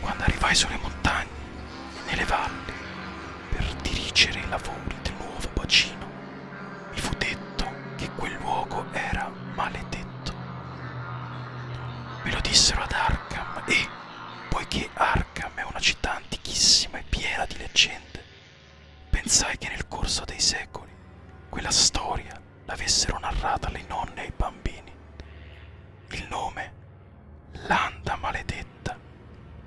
Quando arrivai sulle montagne e nelle valli per dirigere i lavori del nuovo bacino, mi fu detto che quel luogo era maledetto. Me lo dissero ad Arkham e, poiché Arkham è una città antichissima e piena di leggende, pensai che nel corso dei secoli quella storia l'avessero narrata alle nonne e ai bambini. Il nome L'anda maledetta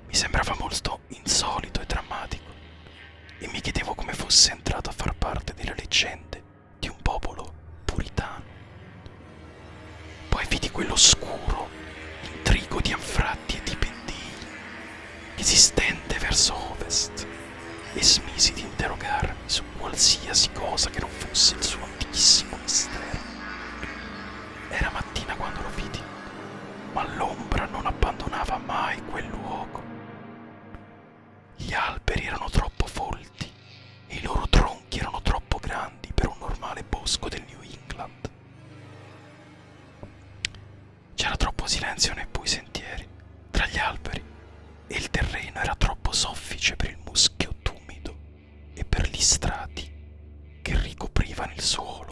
mi sembrava molto insolito e drammatico e mi chiedevo come fosse entrato a far parte delle leggende di un popolo puritano. Poi vidi quell'oscuro intrigo di anfratti e di pendii esistente verso ovest e smisi di interrogarmi su qualsiasi cosa che non fosse il suo remotissimo mistero. Era mattina quando lo vidi, ma l'ombra non abbandonava mai quel luogo. Gli alberi erano troppo folti e i loro tronchi erano troppo grandi per un normale bosco del New England. C'era troppo silenzio nei bui sentieri, tra gli alberi, e il terreno era troppo soffice per il muschio tumido e per gli strati che ricoprivano il suolo,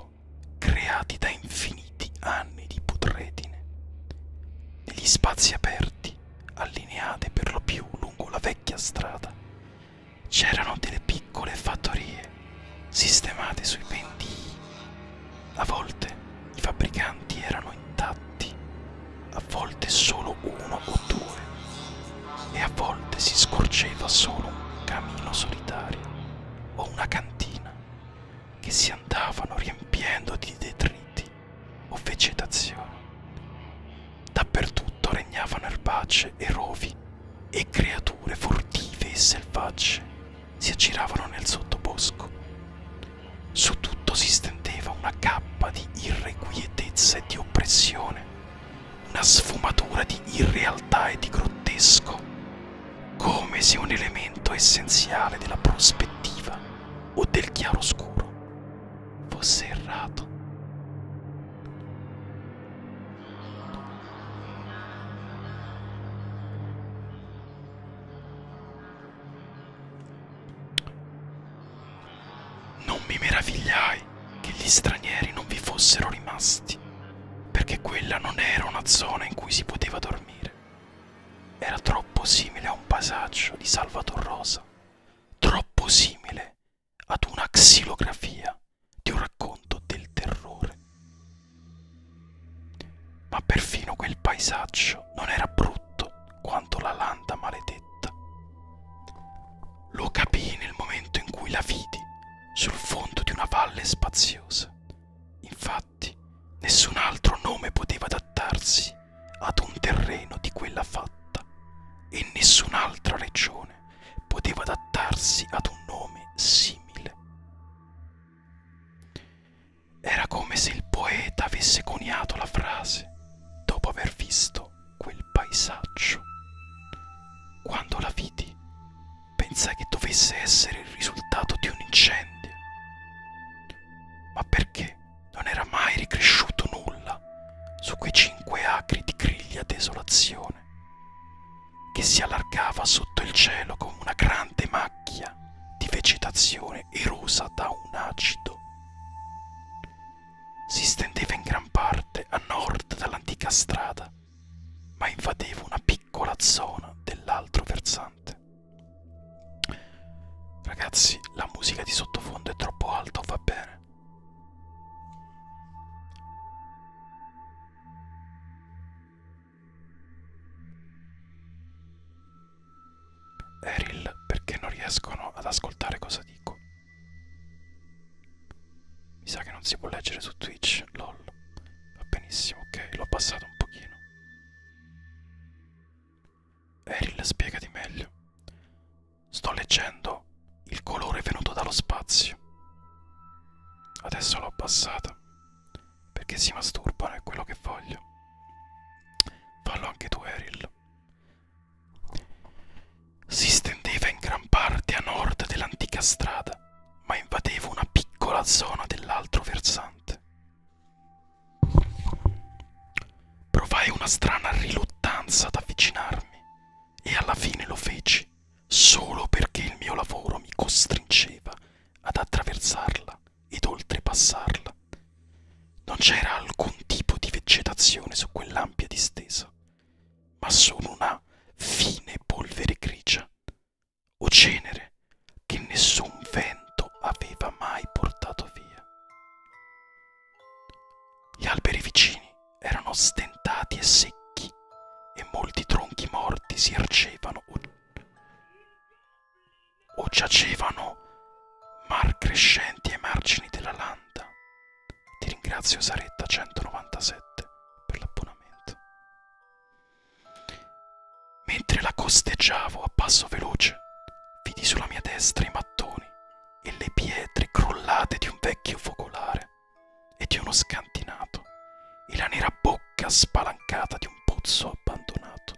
creati da infiniti anni di putredine. Negli spazi aperti, allineati per lo più lungo la vecchia strada, c'erano delle piccole fattorie sistemate sui pendii. A volte i fabbricanti erano intatti, a volte solo uno o due, e a volte si scorgeva solo un camino solitario o una cantina che si andavano riempiendo di detriti o vegetazione. Dappertutto regnavano erbacce e rovi e creature furtive e selvagge si aggiravano nel sottobosco. Su tutto si stendeva una cappa di irrequietezza e di oppressione una sfumatura di irrealtà e di grottesco, come se un elemento essenziale della prospettiva o del chiaroscuro fosse errato. Non mi meravigliai che gli stranieri non vi fossero rimasti, perché quella non era una zona in cui si poteva dormire. Era troppo simile a un paesaggio di Salvator Rosa, troppo simile ad una xilografia di un racconto del terrore. Ma perfino quel paesaggio non era brutto quanto la landa maledetta. Lo capii nel momento in cui la vidi sul fondo di una valle spaziosa. Infatti, nessun altro nome poteva adattarsi ad un terreno di quella fatta e nessun'altra regione poteva adattarsi ad un nome simile. Era come se il poeta avesse coniato la frase dopo aver visto quel paesaggio. Quando la vidi, pensai che dovesse essere il risultato di un incendio. Ma perché non era mai ricresciuto nulla su quei cinque acri di griglia desolazione, che si allargava sotto il cielo come una grande macchia di vegetazione erosa da un acido si stendeva in gran parte a nord dall'antica strada, ma invadeva una piccola zona dell'altro versante. Ragazzi, la musica di sottofondo è troppo alta, va bene. Eril, perché non riescono ad ascoltare cosa dico? Mi sa che non si può leggere su Twitch, lol. Va benissimo, ok, l'ho abbassato un pochino. Eril, spiegati meglio. Sto leggendo il colore venuto dallo spazio. Adesso l'ho abbassata. Perché si masturbano, è quello che voglio. Fallo anche tu, Eril. Si stendeva in gran parte a nord dell'antica strada, ma invadeva una piccola zona dell'altro versante. Provai una strana riluttanza ad avvicinarmi e alla fine lo feci solo perché il mio lavoro mi costringeva ad attraversarla ed oltrepassarla. Non c'era alcun tipo di vegetazione su quell'ampia distesa ma sono una fine polvere grigia o cenere che nessun vento aveva mai portato via. Gli alberi vicini erano stentati e secchi e molti tronchi morti si ergevano o, o giacevano mar crescenti ai margini della landa ti ringrazio Saretta 197 per l'abbonamento. Mentre la costeggiavo a passo veloce, vidi sulla mia destra i mattoni e le pietre crollate di un vecchio focolare e di uno scantinato e la nera bocca spalancata di un pozzo abbandonato,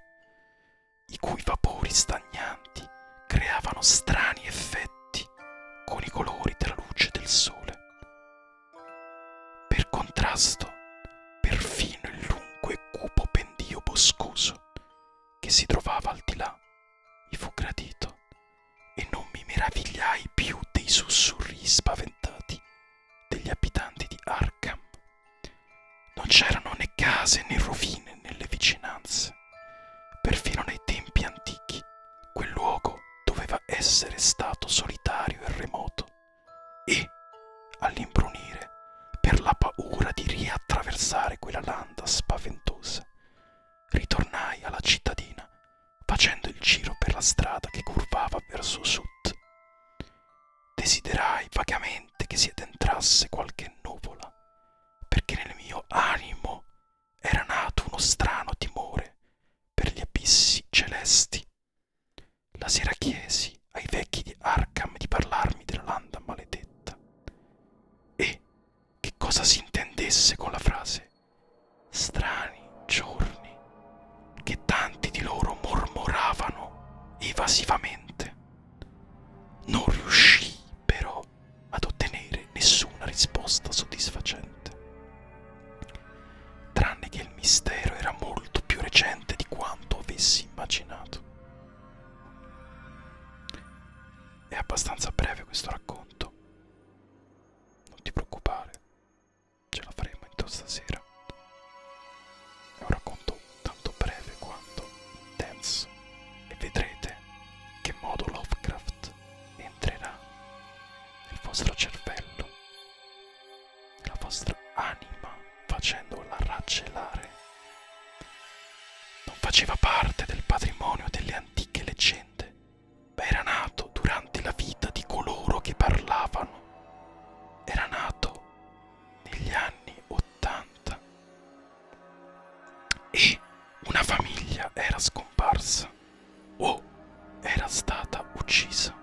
i cui vapori stagnanti creavano strani effetti brillanti con i colori della luce del sole. Per contrasto, perfino il lungo e cupo pendio boscoso che si trovava al di là mi fu gradito e non mi meravigliai più dei sussurri spaventati degli abitanti di Arkham. Non c'erano né case né rovine nelle vicinanze. Perfino nei tempi antichi quel luogo doveva essere stato solitario e remoto e, all'imbrunire, per la paura di riattraversare quella landa spaventosa, ritornai alla cittadina facendo il giro per la strada che curvava verso sud. Desiderai vagamente che si addentrasse qualche nuvola, perché nel mio animo era nato uno strano timore per gli abissi celesti. La sera chiesi ai vecchi di Arkham di parlarmi della landa maledetta e che cosa si intendesse con la frase strani giorni che tanti di loro mormoravano evasivamente. Non riuscii però ad ottenere nessuna risposta soddisfacente. Tranne che il mistero era molto più recente di quanto avessi immaginato. È abbastanza breve questo racconto. Non ti preoccupare, ce la faremo in stasera. È un racconto tanto breve quanto intenso e vedrete che modo Lovecraft entrerà nel vostro cervello, nella vostra anima, facendola raggelare. Non faceva parte del patrimonio delle antiche leggende, ma era nato durante la vita di coloro che parlavano. Era nato negli anni Ottanta e una famiglia era scomparsa o oh, era stata uccisa.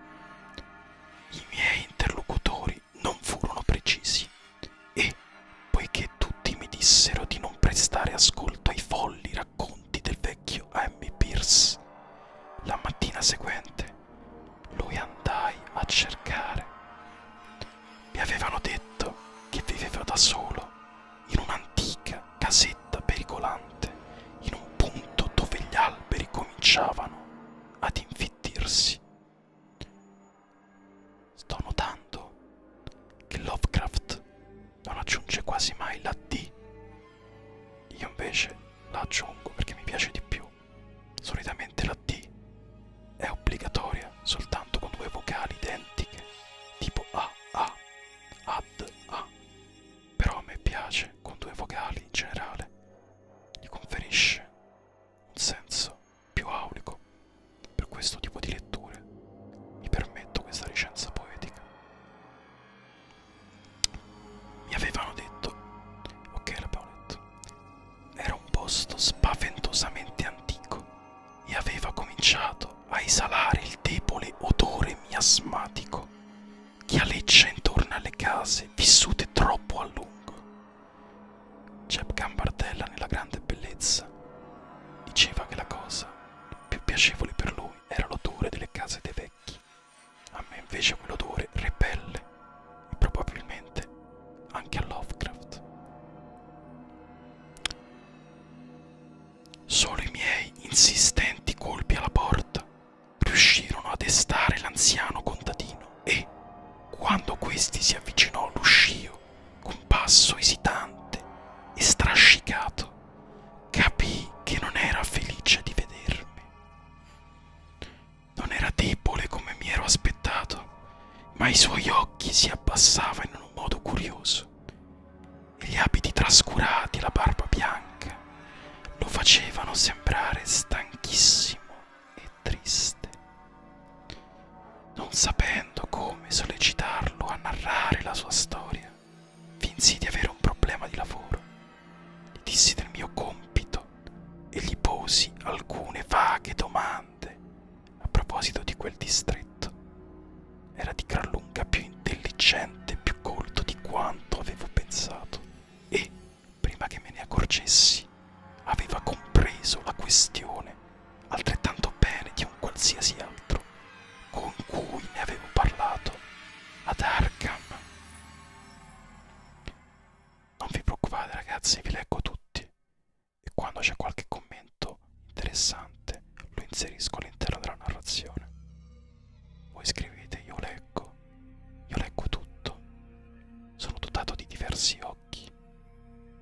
I miei interlocutori non furono precisi e, poiché tutti mi dissero di non prestare ascolto ai folli racconti del vecchio A.M. Pierce, la mattina seguente lui andai a cercare. Mi avevano detto che viveva da solo in un'antica casetta pericolante, in un punto dove gli alberi cominciavano ad infittirsi. Sto notando che Lovecraft non aggiunge quasi mai la D. Io invece la aggiungo perché mi piace di più. Solitamente la D è obbligatoria soltanto con due vocali identiche, tipo A, A, ad, A però a me piace con due vocali in generale, gli conferisce un senso più aulico. Per questo tipo di letture mi permetto questa licenza poetica. Mi avevano detto, ok l'abbiamo detto, era un posto spaventosamente antico e aveva cominciato iniziando a esalare il debole odore miasmatico che aleggia intorno alle case vissute troppo a lungo. Jeb Gambardella nella grande bellezza diceva che la cosa più piacevole per lui era l'odore delle case dei vecchi. A me invece quell'odore repelle e probabilmente anche a Lovecraft. Solo i miei insistenti colpi alla porta riuscirono a destare l'anziano contadino e, quando questi si avvicinò all'uscio con passo esitante e strascicato, capii che non era felice di vedermi. Non era debole come mi ero aspettato, ma i suoi occhi si abbassavano in un modo curioso gli abiti trascurati, la barba bianca lo facevano sembrare stanchissimo e triste, non sapendo come sollecitarlo a narrare la sua storia. Finsi di avere un problema di lavoro, gli dissi del mio compito e gli posi alcune vaghe domande a proposito di quel distretto era di gran lunga più intelligente, più colto di quanto avevo pensato e, prima che me ne accorgessi, aveva compreso la questione altrettanto bene di un qualsiasi altro con cui ne avevo parlato ad Arkham. Non vi preoccupate ragazzi, vi leggo tutti e quando c'è qualche commento interessante lo inserisco all'interno della narrazione. Voi scrivete io leggo, io leggo tutto, sono dotato di diversi occhi,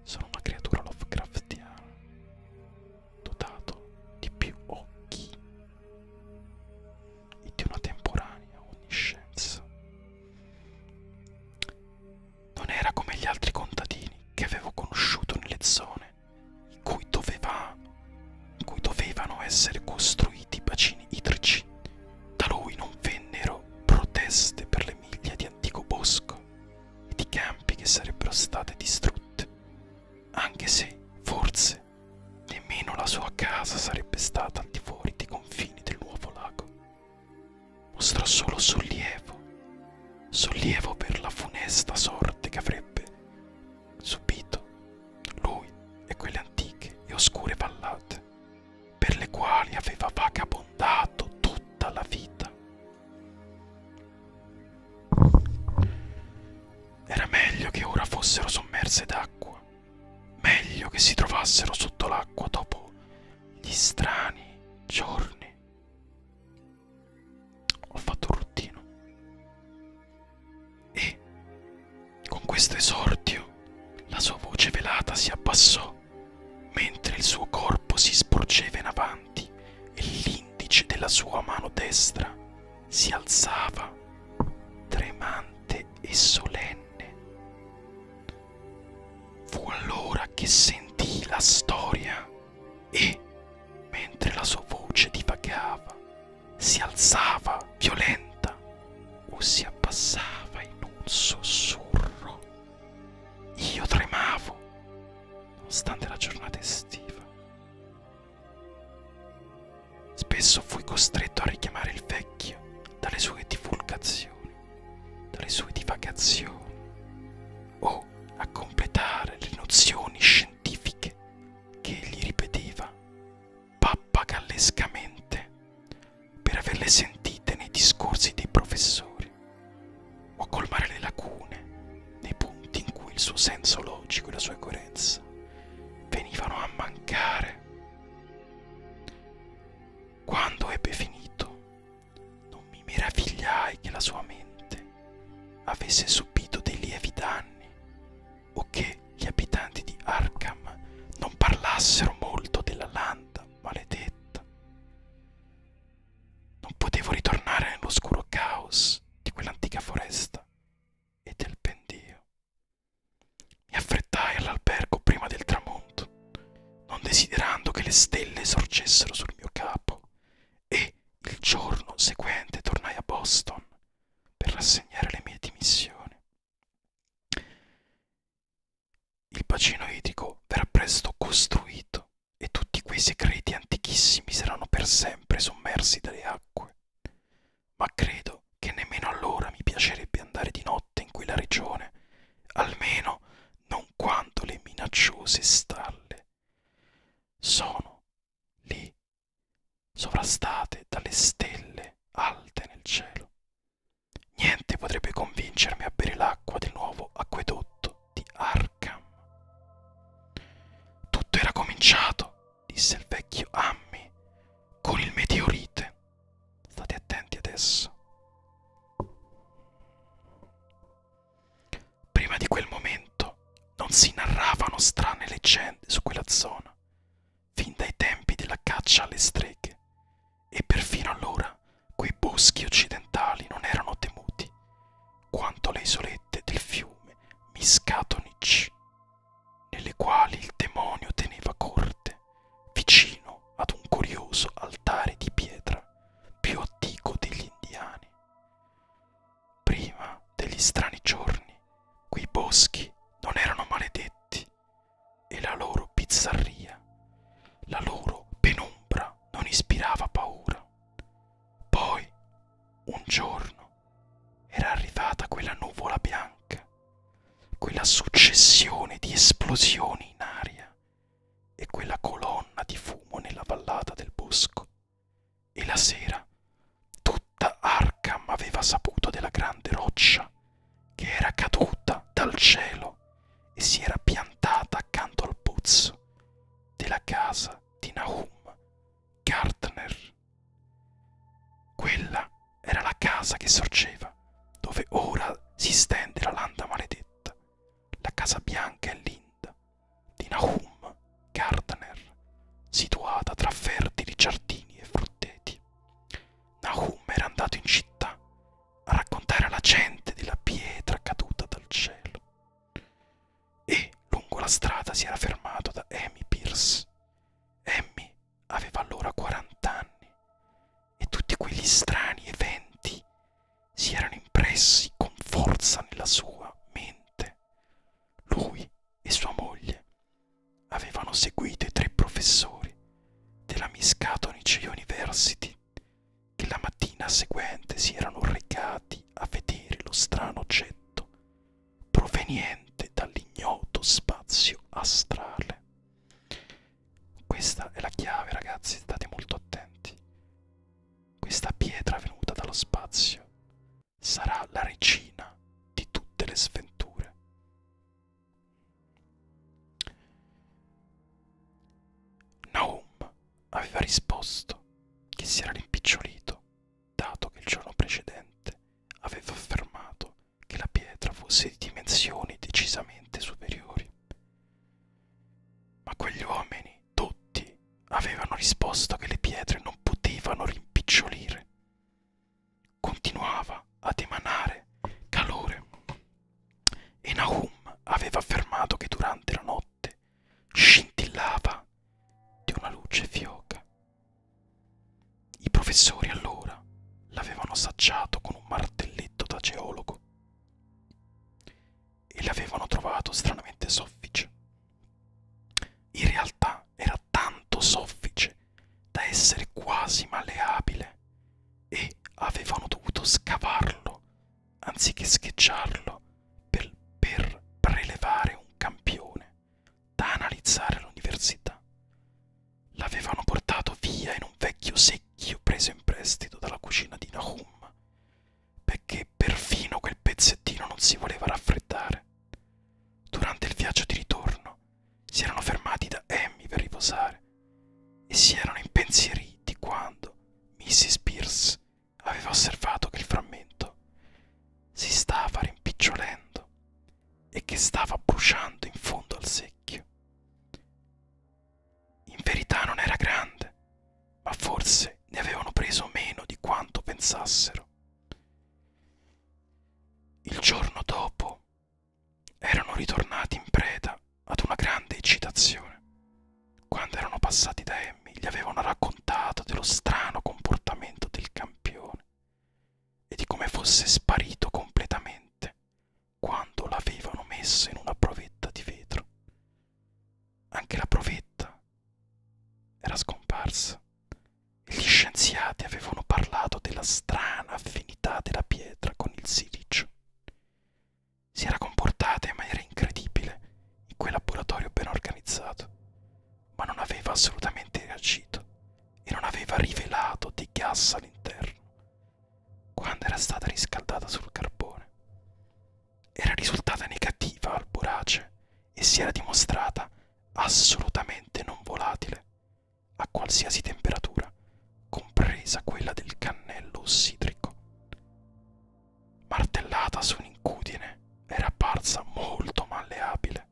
sono una creatura Lovecraftiana, dotato di più occhi e di una temporanea onniscienza. Non era come gli altri contadini che avevo conosciuto nelle zone in cui, doveva, in cui dovevano essere costruiti i bacini idrici. Da lui non vennero proteste per le miglia di antico bosco e di campi che sarebbero state distrutte, anche se forse nemmeno la sua casa sarebbe stata al di fuori dei confini del nuovo lago. Mostrò solo sollievo, sollievo per la funesta sorte che avrebbe subito lui e quelle antiche e oscure vallate per le quali aveva vagabondato tutta la vita. Era meglio che ora fossero sommerse d'acqua, meglio che si trovassero sotto l'acqua dopo gli strani giorni ho fatto un ruttino e con questo esordio la sua voce velata si abbassò mentre il suo corpo si sporgeva in avanti e l'indice della sua mano destra si alzava tremante e solenne. Fu allora che sentii la storia e, mentre la sua voce divagava si alzava violenta o si abbassava in un sussurro. Io tremavo, nonostante la giornata estiva. Spesso fui costretto a richiamare il vecchio dalle sue divulgazioni, dalle sue divagazioni o a completare le nozioni scientifiche che egli ripeteva pappagallescamente per averle sentite nei discorsi dei professori o a colmare le lacune nei punti in cui il suo senso logico e la sua coerenza venivano a mancare. Quando ebbe finito, non mi meravigliai che la sua mente avesse subito dei lievi danni o che gli abitanti di Arkham non parlassero molto della landa maledetta. Non potevo ritornare nell'oscuro caos di quell'antica foresta e del pendio. Mi affrettai all'albergo prima del tramonto, non desiderando che le stelle sorgessero sul mio capo, e il giorno seguente tornai a Boston per rassegnare le mie dimissioni. Il bacino idrico verrà presto costruito e tutti quei segreti antichissimi saranno per sempre sommersi dalle acque. Ma credo che nemmeno allora mi piacerebbe andare di notte in quella regione, almeno non quando le minacciose stalle sono lì sovrastate dalle stelle alte nel cielo. Niente potrebbe convincermi a bere l'acqua del nuovo acquedotto di Arkham. Tutto era cominciato, disse il vecchio Ammi, con il meteorite. State attenti adesso. Prima di quel momento non si narravano strane leggende su quella zona fin dai tempi della caccia alle streghe, e perfino allora quei boschi occidentali non erano temuti quanto le isolette del fiume Miskatonic, nelle quali il demonio teneva corte, vicino ad un curioso altare di pietra più antico degli indiani. Prima degli strani giorni quei boschi non erano maledetti e la loro bizzarria, la loro penombra non ispirava paura. Poi, un giorno, era arrivata quella nuvola bianca, quella successione di esplosioni in aria e quella colonna di fumo nella vallata del bosco e la sera tutta Arkham aveva saputo della grande roccia che era caduta dal cielo e si era piantata accanto al pozzo della casa di Nahum Gardner. Quella era la casa che sorgeva dove ora si stende la landa maledetta, la casa bianca e linda di Nahum Gardner, situata tra fertili giardini e frutteti. Nahum era andato in città a raccontare alla gente della pietra caduta dal cielo e lungo la strada si era fermato da Amy Pierce. Amy aveva allora 40 anni e tutti quegli strani eventi si erano impressi con forza nella sua mente lui e sua moglie avevano seguito i tre professori della Miscatonic University che la mattina seguente si erano recati a vedere lo strano oggetto proveniente dall'ignoto spazio astrale. Questa è la chiave ragazzi, state molto attenti. Questa pietra venuta dallo spazio sarà la regina di tutte le sventure. Naum aveva risposto che si era rimpicciolito, dato che il giorno precedente aveva affermato che la pietra fosse di dimensioni decisamente superiori. Ma quegli uomini, tutti, avevano risposto che le pietre non potevano rimpicciolire continuava ad emanare calore e Nahum aveva affermato che durante la notte scintillava di una luce fioca. I professori allora l'avevano assaggiato con un martelletto da geologo e l'avevano trovato stranamente soffice. In realtà era tanto soffice da essere quasi maleabile e avevano dovuto scavarlo anziché scheggiarlo per, per prelevare un campione da analizzare all'università. L'avevano portato via in un vecchio secchio preso in prestito dalla cucina di Nahum, perché perfino quel pezzettino non si voleva raffreddare. Durante il viaggio di ritorno si erano fermati da Amy per riposare e si erano impensieriti quando Mrs. Pierce aveva osservato che il frammento si stava rimpicciolendo e che stava bruciando in fondo al secchio. In verità non era grande, ma forse ne avevano preso meno di quanto pensassero. Il giorno dopo erano ritornati in preda ad una grande eccitazione. Quando erano passati da Emmy gli avevano raccontato dello strano comportamento del campione e di come fosse sparito completamente quando l'avevano messo in una provetta di vetro. Anche la provetta era scomparsa. Gli scienziati avevano parlato della strana affinità della pietra con il silicio. Si era comportata in maniera incredibile in quel laboratorio ben organizzato, ma non aveva assolutamente reagito e non aveva rivelato di gas all'interno quando era stata riscaldata sul carbone. Era risultata negativa al borace e si era dimostrata assolutamente non volatile a qualsiasi temperatura, compresa quella del cannello ossidrico. Martellata su un'incudine era apparsa molto malleabile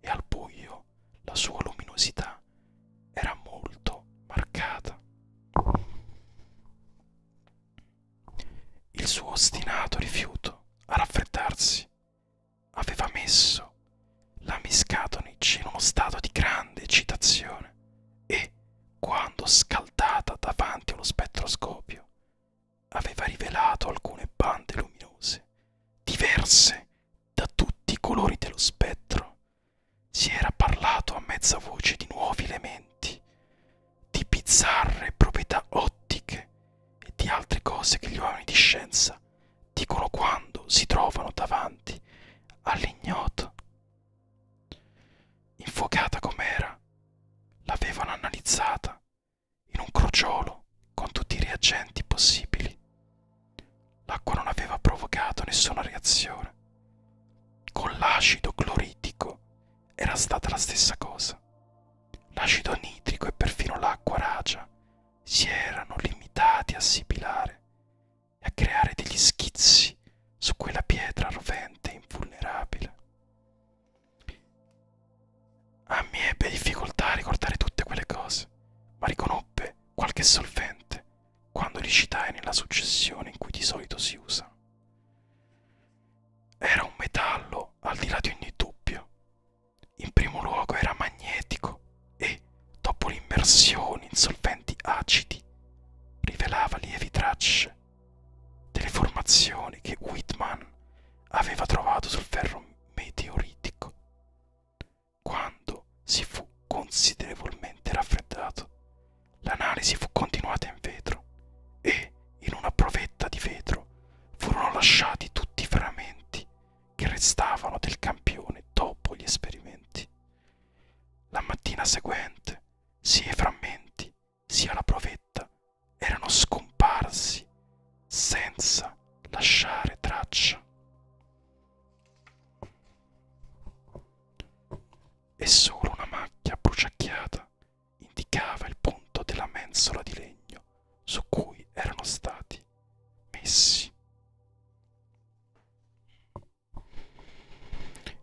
e al buio la sua luminosità era molto marcata. Il suo ostinato rifiuto a raffreddarsi aveva messo la Miscatonic in uno stato di grande eccitazione e, quando scaldata davanti allo spettroscopio, aveva rivelato alcune bande luminose, diverse da tutti i colori dello spettro. Si era parlato a mezza voce di nuovi elementi, di bizzarre proprietà ottiche e di altre cose che gli uomini di scienza dicono quando si trovano davanti all'ignoto. Infuocata com'era, l'avevano analizzata in un crociolo con tutti i reagenti possibili. L'acqua non aveva provocato nessuna reazione. Con l'acido cloritico era stata la stessa cosa. L'acido nitrico e perfino l'acqua ragia si erano limitati a sibilare e a creare degli schizzi su quella pietra rovente e invulnerabile. A me ebbe difficoltà a ricordare tutte quelle cose, ma riconobbe qualche solvente quando li citai nella successione in cui di solito si usa. Era un metallo al di là di ogni dubbio, in primo luogo era magnetico e, dopo l'immersione in solventi acidi, rivelava lievi tracce delle formazioni che Whitman aveva trovato sul ferro meteoritico. Quando si fu considerevolmente raffreddato, l'analisi fu continuata in vetro e in una provetta di vetro furono lasciati tutti i frammenti che restavano del campione dopo gli esperimenti. La mattina seguente, sia i frammenti sia la provetta erano scomparsi senza lasciare traccia. E solo una macchia bruciacchiata indicava il punto della mensola di legno su cui erano stati messi.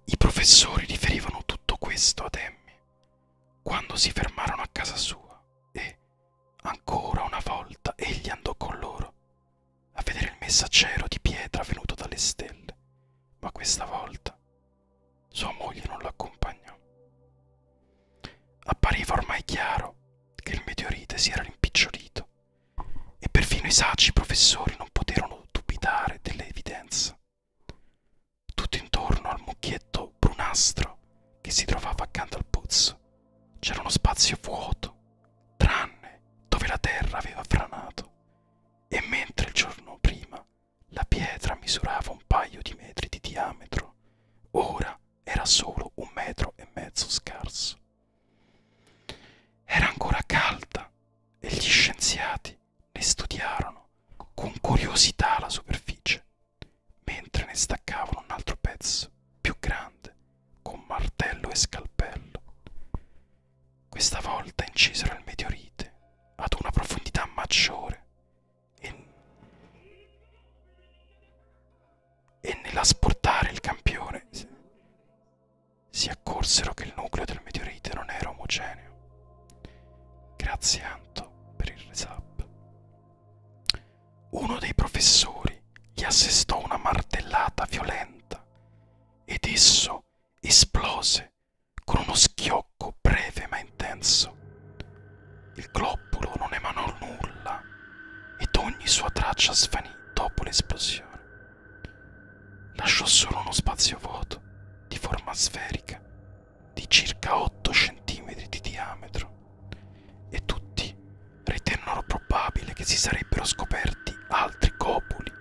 I professori riferivano tutto questo ad Emmy quando si fermarono a casa sua e, ancora una volta, egli andò con loro a vedere il messaggero di pietra venuto dalle stelle, ma questa volta sua moglie non l'accompagnò. Appariva ormai chiaro che il meteorite si era rimpicciolito e perfino i saci professori non poterono dubitare delle evidenze. Tutto intorno al mucchietto brunastro che si trovava accanto al pozzo c'era uno spazio vuoto, tranne dove la terra aveva franato, e mentre il giorno prima la pietra misurava un paio di metri di diametro, ora era solo un metro e mezzo scarso. Era ancora calda e gli scienziati ne studiarono con curiosità la superficie, mentre ne staccavano un altro pezzo più grande con martello e scalpello. Questa volta incisero il meteorite ad una profondità maggiore e e nell'asportare il campione si accorsero che il nucleo del meteorite non era omogeneo. Grazie Anto per il resub. Uno dei professori gli assestò una martellata violenta ed esso esplose con uno schiocco breve ma intenso. Il globulo non emanò nulla ed ogni sua traccia svanì dopo l'esplosione. Lasciò solo uno spazio vuoto di forma sferica di circa 8 cm di diametro e tutti ritennero probabile che si sarebbero scoperti altri copuli,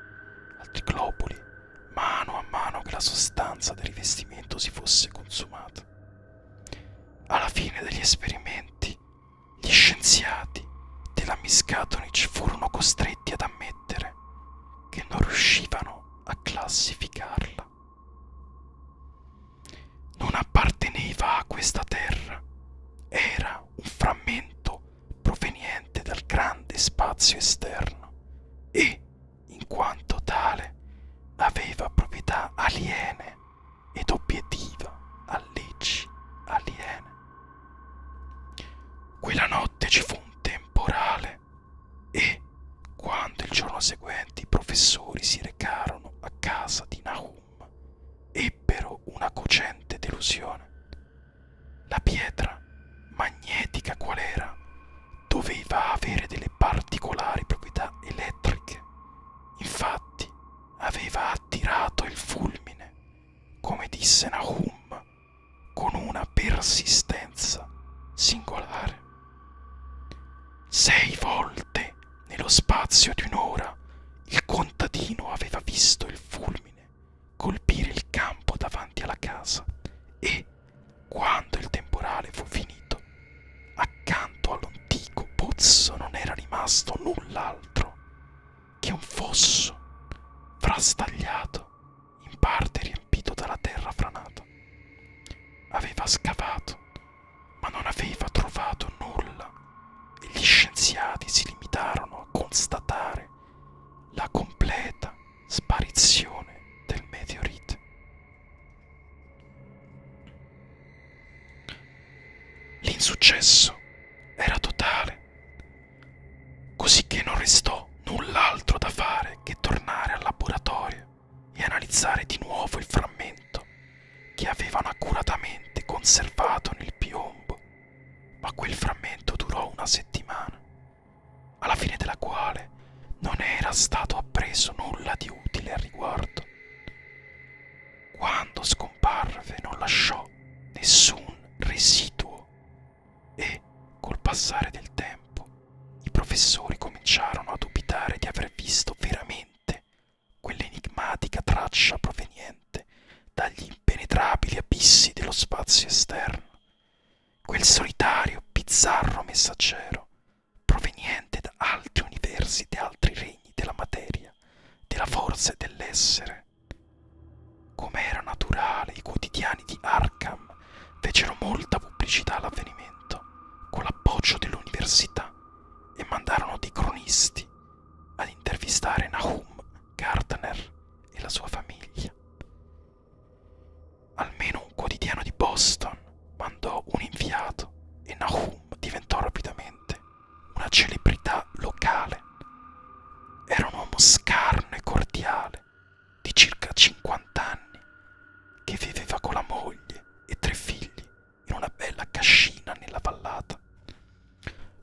altri globuli, mano a mano che la sostanza del rivestimento si fosse consumata. Alla fine degli esperimenti gli scienziati della Miskatonic furono costretti ad ammettere che non riuscivano a classificarla. Non apparteneva a questa terra, era un frammento proveniente dal grande spazio esterno e, in quanto tale, aveva proprietà aliene ed obiettiva a leggi aliene. Quella notte ci fu un temporale e, quando il giorno seguente i professori si recarono a casa di Nahum, ebbero una cocente delusione. La pietra, magnetica qual era, doveva avere delle particolari proprietà elettriche. Infatti, aveva attirato il fulmine, come disse Nahum, con una persistenza singolare. Sei volte nello spazio di un'ora il contadino aveva visto il fulmine colpire il campo davanti alla casa e, quando il temporale fu finito, accanto all'antico pozzo non era rimasto null'altro che è un fosso frastagliato, in parte riempito dalla terra franata. Aveva scavato, ma non aveva trovato nulla e gli scienziati si limitarono a constatare la completa sparizione del meteorite. L'insuccesso era totale, così che non restò null'altro da fare che tornare al laboratorio e analizzare di nuovo il frammento che avevano accuratamente conservato nel piombo, ma quel frammento durò una settimana, alla fine della quale non era stato appreso nulla di utile al riguardo. Quando scomparve non lasciò nessun residuo e col passare del tempo i professori cominciarono a dubitare di aver visto veramente quell'enigmatica traccia proveniente dagli impenetrabili abissi dello spazio esterno, quel solitario, bizzarro messaggero proveniente da altri universi e altri regni della materia della forza dell'essere. Come era naturale, i quotidiani di Arkham fecero molta pubblicità all'avvenimento, con l'appoggio dell'università, e mandarono dei cronisti ad intervistare Nahum Gardner e la sua famiglia. Almeno un quotidiano di Boston mandò un inviato e Nahum diventò rapidamente una celebrità locale. Era un uomo scarno e cordiale, di circa 50 anni, che viveva con la moglie e tre figli in una bella cascina nella vallata.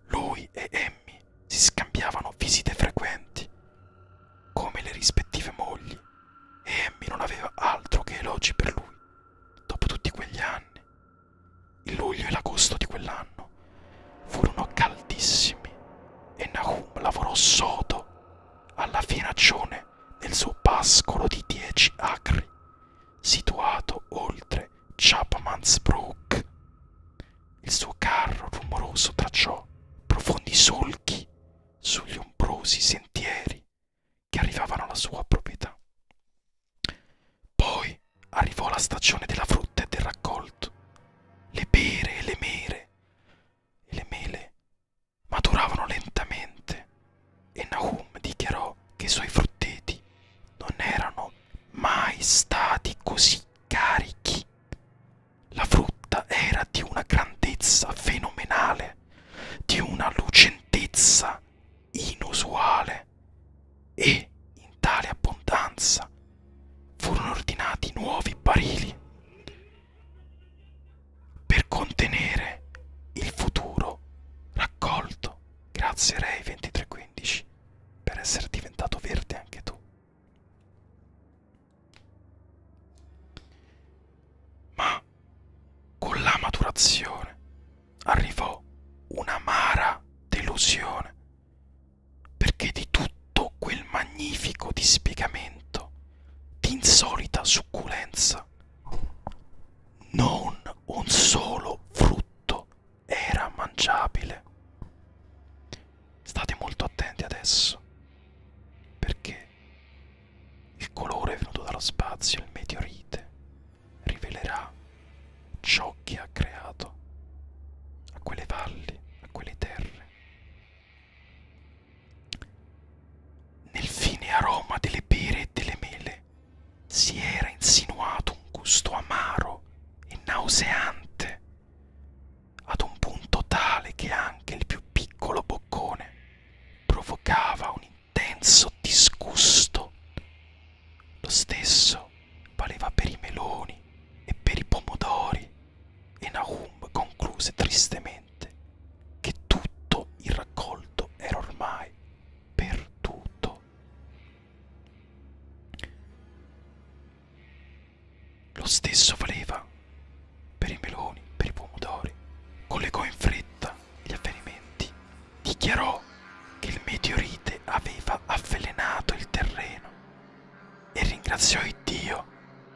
Lui e Emmy si scambiavano visite frequenti, come le rispettive mogli, e Emmy non aveva altro che elogi per lui. Dopo tutti quegli anni, il luglio e l'agosto di quell'anno furono caldissimi e Nahum lavorò sodo alla finaccione nel suo pascolo di dieci acri, situato oltre Chapman's Brook. Il suo carro rumoroso tracciò profondi solchi sugli ombrosi sentieri che arrivavano alla sua proprietà. Poi arrivò la stagione della frutta e del raccolto. Le pere e le mere e le mele maturavano lentamente e Nahum dichiarò che i suoi frutteti non erano mai stati così carichi. La frutta era di una grandezza fenomenale, di una lucentezza inusuale bene e in tale abbondanza furono ordinati nuovi barili per contenere il futuro raccolto. Grazie Ray 2315 per essere diventato verde anche tu. Ma con la maturazione arrivò un'amara delusione, perché di tutto quel magnifico dispiegamento di insolita succulenza non un solo frutto era mangiabile. State molto attenti adesso, perché il colore venuto dallo spazio, il meteorite, rivelerà ciò che ha creato a quelle valli, a quelle terre. Nel fine aroma delle pere e delle mele si era insinuato un gusto amaro e nauseante, ad un punto tale che anche il più piccolo boccone provocava un intenso disgusto. Lo stesso valeva per i meloni e per i pomodori. E Nahum concluse tristemente che tutto il raccolto era ormai perduto. Lo stesso valeva per i meloni, per i pomodori. Collegò in fretta gli avvenimenti dichiarò che il meteorite aveva avvelenato il terreno e ringraziò Iddio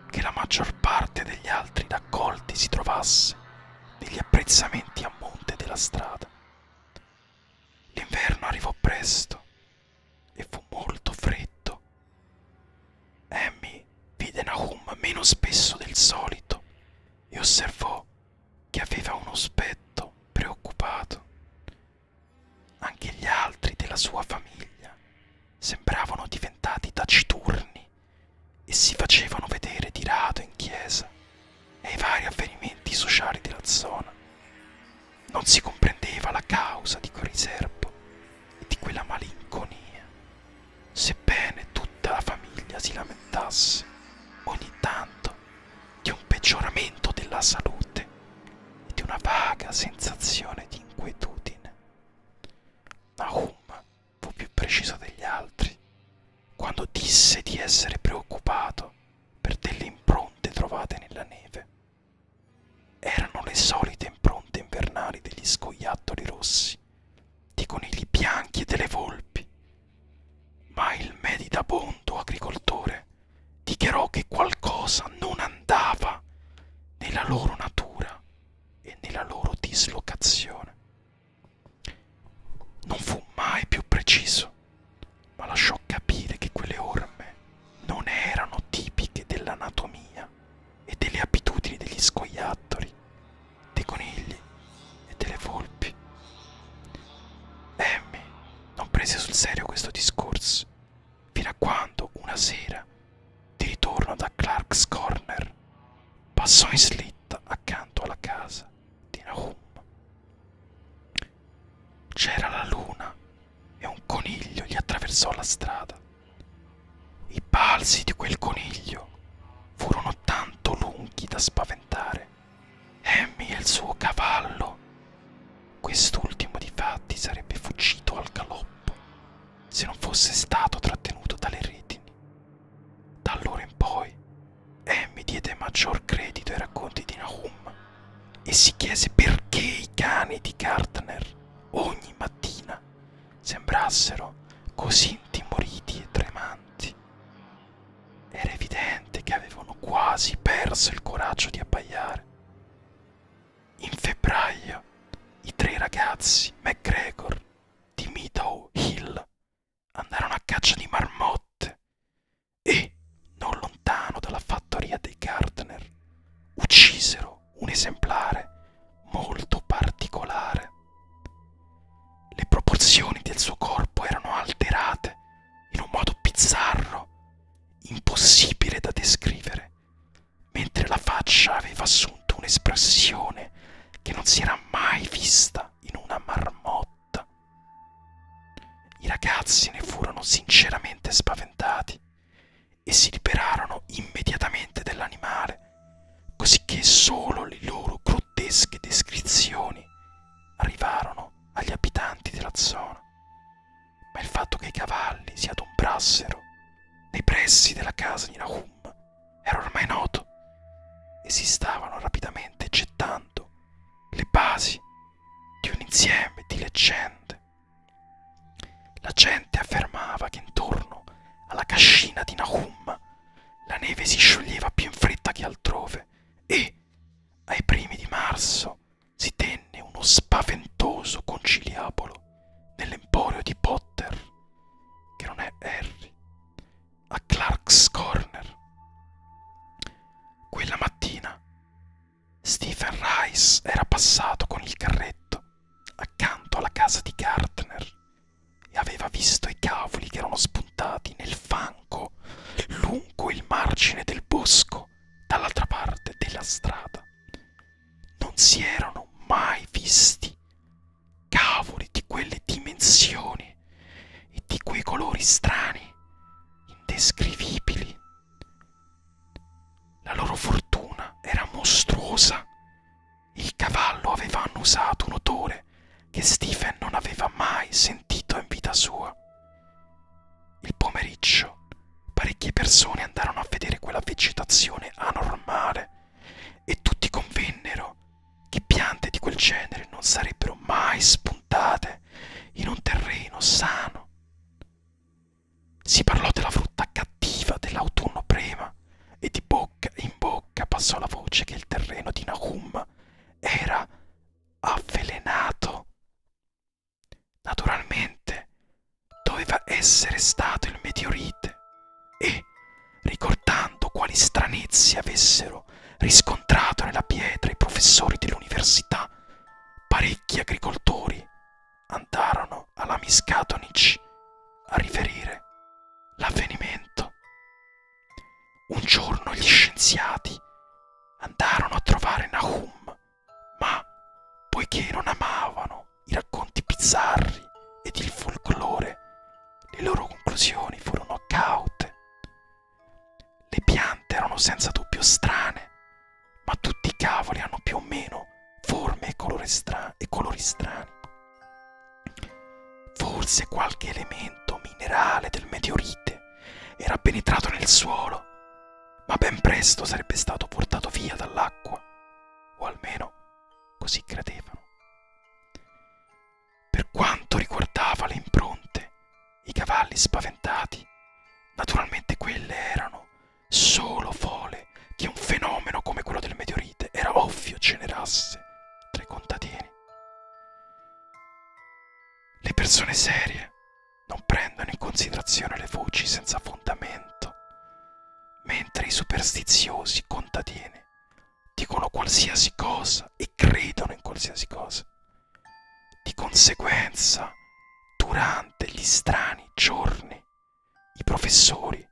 che la maggior parte degli altri raccolti si trovasse negli apprezzamenti a monte della strada. L'inverno arrivò presto e fu molto freddo. Emmy vide Nahum meno spesso del solito e osservò che aveva uno spetto preoccupato anche gli altri della sua famiglia sembravano diventati taciturni e si facevano vedere di rado in chiesa e ai vari avvenimenti sociali della zona. Non si comprendeva la causa di quel riservo e di quella malinconia. Sebbene tutta la famiglia si lamentasse, ogni tanto di un peggioramento della salute e di una vaga sensazione di inquietudine. Nahum fu più preciso degli altri quando disse di essere preoccupato per delle impronte trovate nella neve. Erano le solite impronte invernali degli scoiattoli rossi, dei conigli bianchi e delle volpi, ma il medidabondo agricoltore dichiarò che qualcosa non andava nella loro natura e nella loro dislocazione. Non fu mai più preciso, ma lasciò capire che quelle orme non erano tipiche dell'anatomia e delle abitudini degli scoiattoli, dei conigli e delle volpi. Emmy non prese sul serio questo discorso, fino a quando una sera, di ritorno da Clark's Corner, passò in slitta accanto alla casa di Nahum. C'era la luna e un coniglio gli attraversò la strada. I balzi di quel coniglio furono tanto lunghi da spaventare morire. Hammy e il suo cavallo. Quest'ultimo difatti sarebbe fuggito al galoppo se non fosse stato trattenuto dalle retini. Da allora in poi Hammy diede maggior credito ai racconti di Nahum e si chiese perché i cani di Gardner ogni mattina sembrassero così intimoriti e tremanti. Era evidente che avevano quasi perso il coraggio di abbaiare. In febbraio i tre ragazzi McGregor di Meadow Hill andarono a caccia di marmotte e, non lontano dalla fattoria dei Gardner, uccisero un esemplare molto particolare. Le proporzioni del suo corpo erano alterate in un modo bizzarro, impossibile da descrivere, mentre la faccia aveva assunto un'espressione che non si era mai vista in una marmotta. I ragazzi ne furono sinceramente spaventati e si liberarono immediatamente dell'animale, cosicché solo le loro grottesche descrizioni arrivarono agli abitanti della zona ma il fatto che i cavalli si adombrassero nei pressi della casa di Nahum era ormai noto e si stavano rapidamente gettando le basi di un insieme di leggende. La gente affermava che intorno alla cascina di Nahum la neve si scioglieva più in fretta che altrove e, ai primi di marzo, si tenne uno spaventoso conciliabolo nell'emporio di Potter, che non è Harry, a Clark's Corner. Quella mattina Stephen Rice era passato con il carretto accanto alla casa di Gardner e aveva visto i cavoli che erano spuntati nel fango lungo il margine del bosco solo dall'altra parte della strada. Non si erano mai visti cavoli di quelle dimensioni e di quei colori strani, indescrivibili. La loro fortuna era mostruosa. Il cavallo aveva annusato un odore che Stephen non aveva mai sentito in vita sua. Il pomeriggio parecchie persone andarono a vedere quella vegetazione anormale e tutti convennero che piante di quel genere non sarebbero mai spuntate in un terreno sano. Si parlò della frutta cattiva dell'autunno prima e di bocca in bocca passò la voce che il terreno di Nahum era avvelenato. Naturalmente doveva essere stato il meteorite e, ricordando quali stranezze avessero riscontrato nella pietra i professori dell'università, parecchi agricoltori andarono alla Miskatonic a riferire l'avvenimento. Un giorno gli scienziati andarono a trovare Nahum ma poiché non amavano i racconti bizzarri ed il folklore, le loro conclusioni furono caute. Le piante erano senza dubbio strane, ma tutti i cavoli hanno più o meno forme e colori strani. Forse qualche elemento minerale del meteorite era penetrato nel suolo ma ben presto sarebbe stato portato via dall'acqua, o almeno così credevano. Per quanto riguardava le impronte, i cavalli spaventati, naturalmente quelle erano solo fole che un fenomeno come quello del meteorite era ovvio generasse tra i contadini. Le persone serie non prendono in considerazione le voci senza fondamento, mentre i superstiziosi contadini dicono qualsiasi cosa e credono in qualsiasi cosa. Di conseguenza, durante gli strani giorni, i professori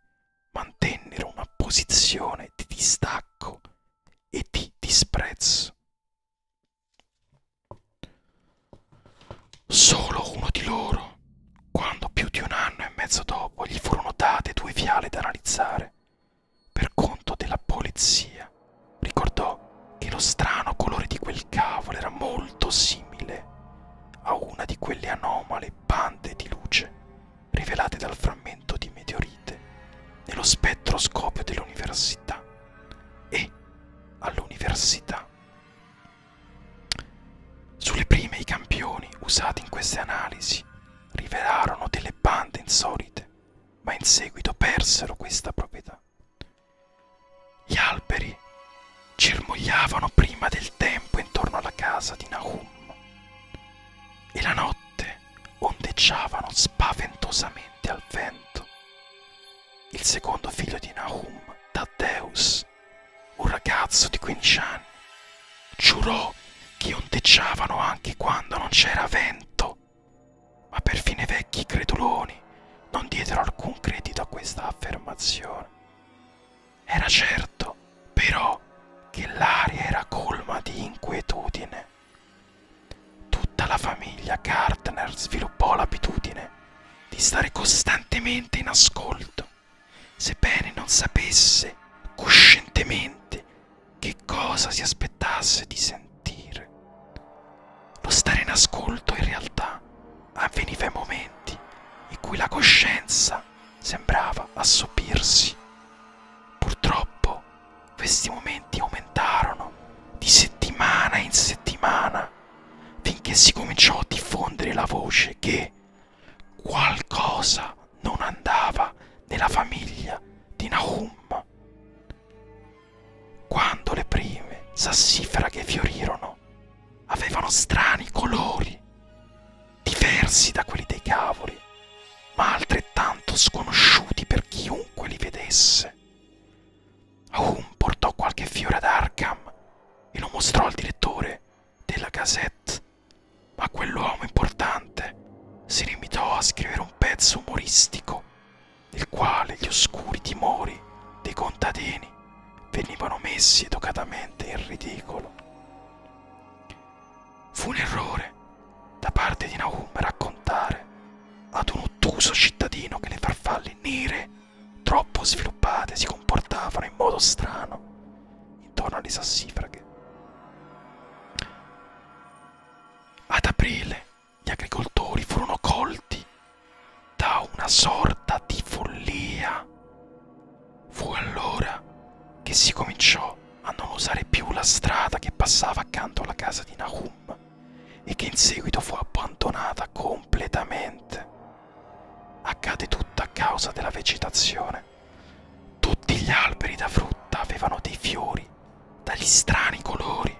mantennero una posizione di distacco e di disprezzo. Solo uno di loro, quando più di un anno e mezzo dopo gli furono date due fiale da analizzare, per conto della polizia, ricordò che lo strano colore di quel cavolo era molto simile a una di quelle anomale bande di luce rivelate dal frammento di meteorite nello spettroscopio dell'università e all'università. Sulle prime i campioni usati in queste analisi rivelarono delle bande insolite, ma in seguito persero questa proprietà. Gli alberi germogliavano prima del tempo intorno alla casa di Nahum e la notte ondeggiavano spaventosamente al vento il secondo figlio di Nahum, Taddeus, un ragazzo di 15 anni. Giurò che ondeggiavano anche quando non c'era vento, ma perfino i vecchi creduloni non diedero alcun credito a questa affermazione. Era certo, però, che l'aria era colma di inquietudine. Tutta la famiglia Gardner sviluppò l'abitudine di stare costantemente in ascolto, sebbene non sapesse coscientemente che cosa si aspettasse di sentire. Lo stare in ascolto in realtà avveniva in momenti in cui la coscienza sembrava assopirsi. Purtroppo questi momenti aumentarono di settimana in settimana finché si cominciò a diffondere la voce che qualcosa non andava nella famiglia di Nahum. Quando le prime sassifraghe fiorirono, avevano strani colori, diversi da quelli dei cavoli, ma altrettanto sconosciuti per chiunque li vedesse. Hume portò qualche fiore ad Arkham e lo mostrò al direttore della Gazette, ma quell'uomo importante si limitò a scrivere un pezzo umoristico nel quale gli oscuri timori dei contadini venivano messi educatamente in ridicolo. Fu un errore da parte di Nahum raccontare ad un ottuso cittadino che le farfalle nere troppo sviluppate, si comportavano in modo strano intorno alle sassifraghe. Ad aprile gli agricoltori furono colti da una sorta di follia. Fu allora che si cominciò a non usare più la strada che passava accanto alla casa di Nahum e che in seguito fu abbandonata completamente. Accade tutto a causa della vegetazione. Tutti gli alberi da frutta avevano dei fiori dagli strani colori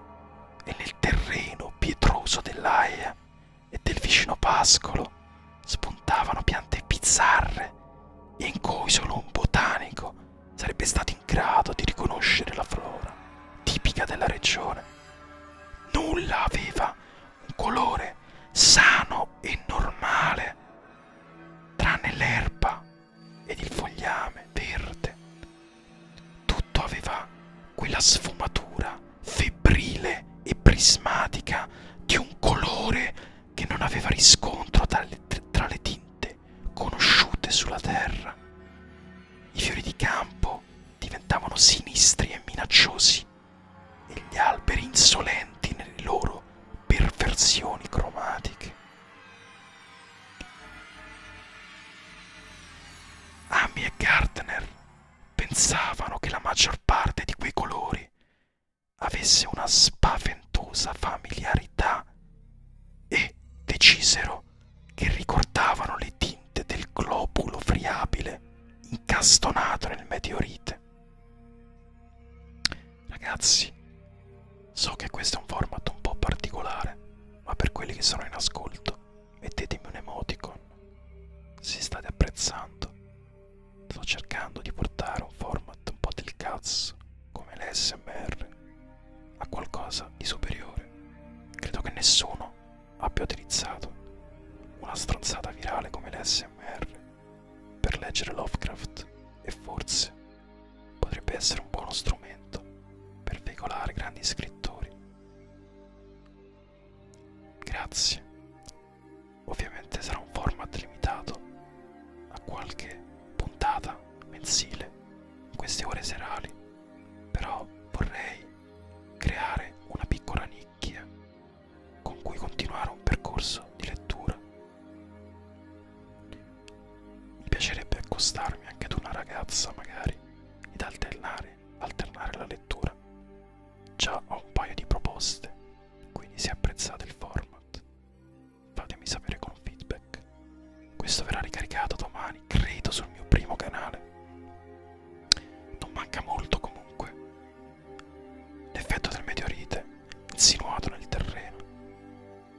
e nel terreno pietroso dell'aia e del vicino pascolo spuntavano piante bizzarre in cui solo un botanico sarebbe stato in grado di riconoscere la flora tipica della regione. Nulla aveva un colore sano e normale, tranne l'erba ed il fogliame verde. Tutto aveva quella sfumatura febbrile e prismatica di un colore che non aveva riscontro tra le, tra le tinte conosciute sulla terra. I fiori di campo diventavano sinistri e minacciosi e gli alberi insolenti nelle loro perversioni cromatiche. Amy e Gardner pensavano che la maggior parte di quei colori avesse una spaventosa familiarità e decisero che ricordavano le tinte del globulo friabile incastonato nel meteorite. Ragazzi, so che questo è un format un po' particolare, ma per quelli che sono in ascolto, mettetemi un emoticon se state apprezzando. Sto cercando di portare un format un po' del cazzo, come l'SMR, a qualcosa di superiore. Credo che nessuno abbia utilizzato una stronzata virale come l'SMR per leggere Lovecraft e forse potrebbe essere un buono strumento per veicolare grandi scrittori. Grazie. Ovviamente sarà un format limitato a qualche puntata mensile in queste ore serali, però vorrei creare una piccola nicchia con cui continuare un percorso di lettura. Mi piacerebbe accostarmi anche ad una ragazza magari ed alternare, alternare la lettura. Già ho un paio di proposte, quindi se apprezzate il format fatemi sapere con un feedback. Questo verrà ricaricato domani domani, credo sul mio primo canale. Non manca molto comunque. L'effetto del meteorite, insinuato nel terreno,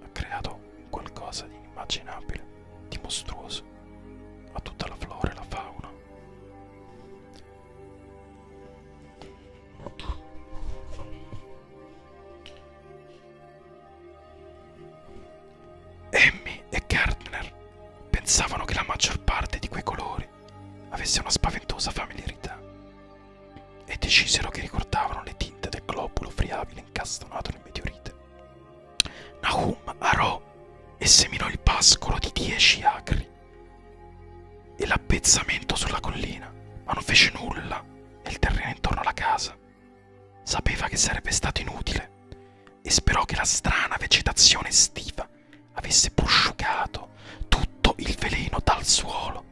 ha creato qualcosa di inimmaginabile, di mostruoso, a tutta la flora e la fauna. Amy e Gardner pensavano che la maggior parte di quei colori avesse una spaventosa familiarità e decisero che ricordavano le tinte del globulo friabile incastonato nel meteorite. Nahum arò e seminò il pascolo di dieci acri e l'appezzamento sulla collina, ma non fece nulla nel terreno intorno alla casa. Sapeva che sarebbe stato inutile e sperò che la strana vegetazione estiva avesse prosciugato tutto il veleno dal suolo.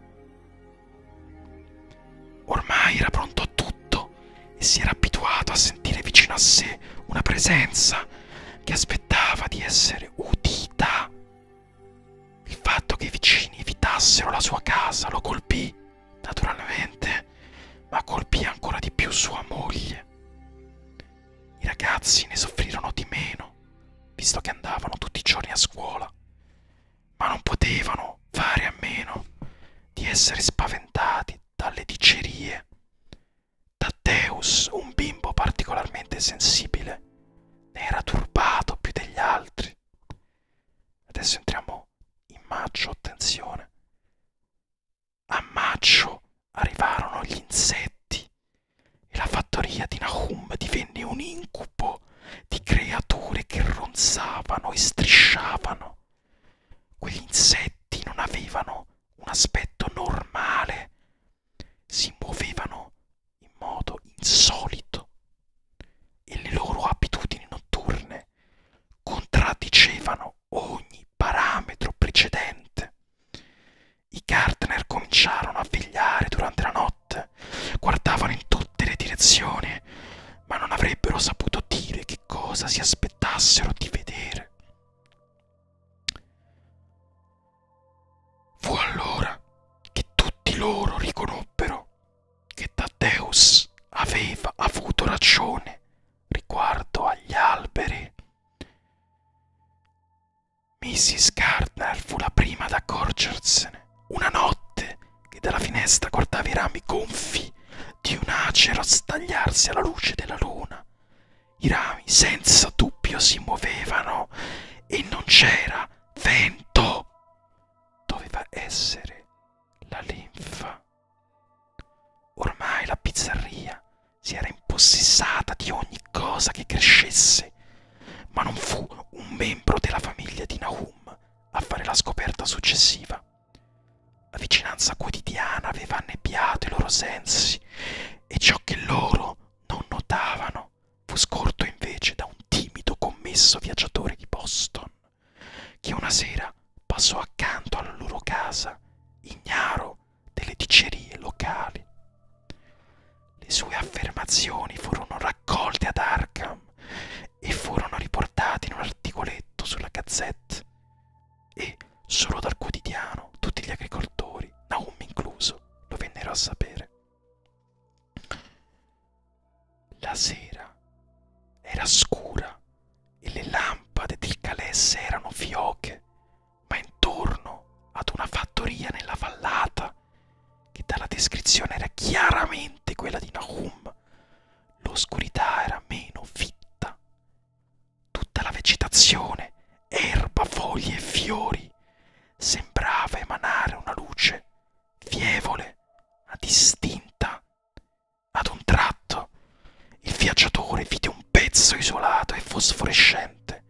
Ormai era pronto a tutto e si era abituato a sentire vicino a sé una presenza che aspettava di essere udita. Il fatto che i vicini evitassero la sua casa lo colpì, naturalmente, ma colpì ancora di più sua moglie. I ragazzi ne soffrirono di meno, visto che andavano tutti i giorni a scuola, ma non potevano fare a meno di essere spaventati dalle dicerie. Tadeus, un bimbo particolarmente sensibile, ne era turbato più degli altri. Adesso entriamo in maggio, attenzione. A maggio arrivarono gli insetti e la fattoria di Nahum divenne un incubo di creature che ronzavano e strisciavano. Quegli insetti non avevano un aspetto normale, si muovevano in modo insolito e le loro abitudini notturne contraddicevano ogni parametro precedente. I Gardner cominciarono a vegliare durante la notte, guardavano in tutte le direzioni, ma non avrebbero saputo dire che cosa si aspettassero di vedere. Fu allora che tutti loro riconobbero che Taddeus aveva avuto ragione riguardo agli alberi. Mrs. Gardner fu la prima ad accorgersene una notte che dalla finestra guardava i rami gonfi di un acero stagliarsi alla luce della luna. I rami senza dubbio si muovevano e non c'era vento. Doveva essere la linfa. Ormai la pizzerria si era impossessata di ogni cosa che crescesse, ma non fu un membro della famiglia di Nahum a fare la scoperta successiva. La vicinanza quotidiana aveva annebbiato i loro sensi e ciò che loro non notavano fu scorto invece da un timido commesso viaggiatore di Boston, che una sera passò accanto alla loro casa, ignaro delle dicerie locali. Le sue affermazioni furono raccolte ad Arkham e furono riportate in un articoletto sulla Gazzetta e solo dal quotidiano tutti gli agricoltori, Naum incluso, lo vennero a sapere. La sera era scura e le lampade del calesse erano fioche ma intorno ad una fattoria nella vallata, che dalla descrizione era chiaramente quella di Nahum, l'oscurità era meno fitta. Tutta la vegetazione, erba, foglie e fiori, sembrava emanare una luce fievole, ma distinta. Ad un tratto il viaggiatore vide un pezzo isolato e fosforescente serpente,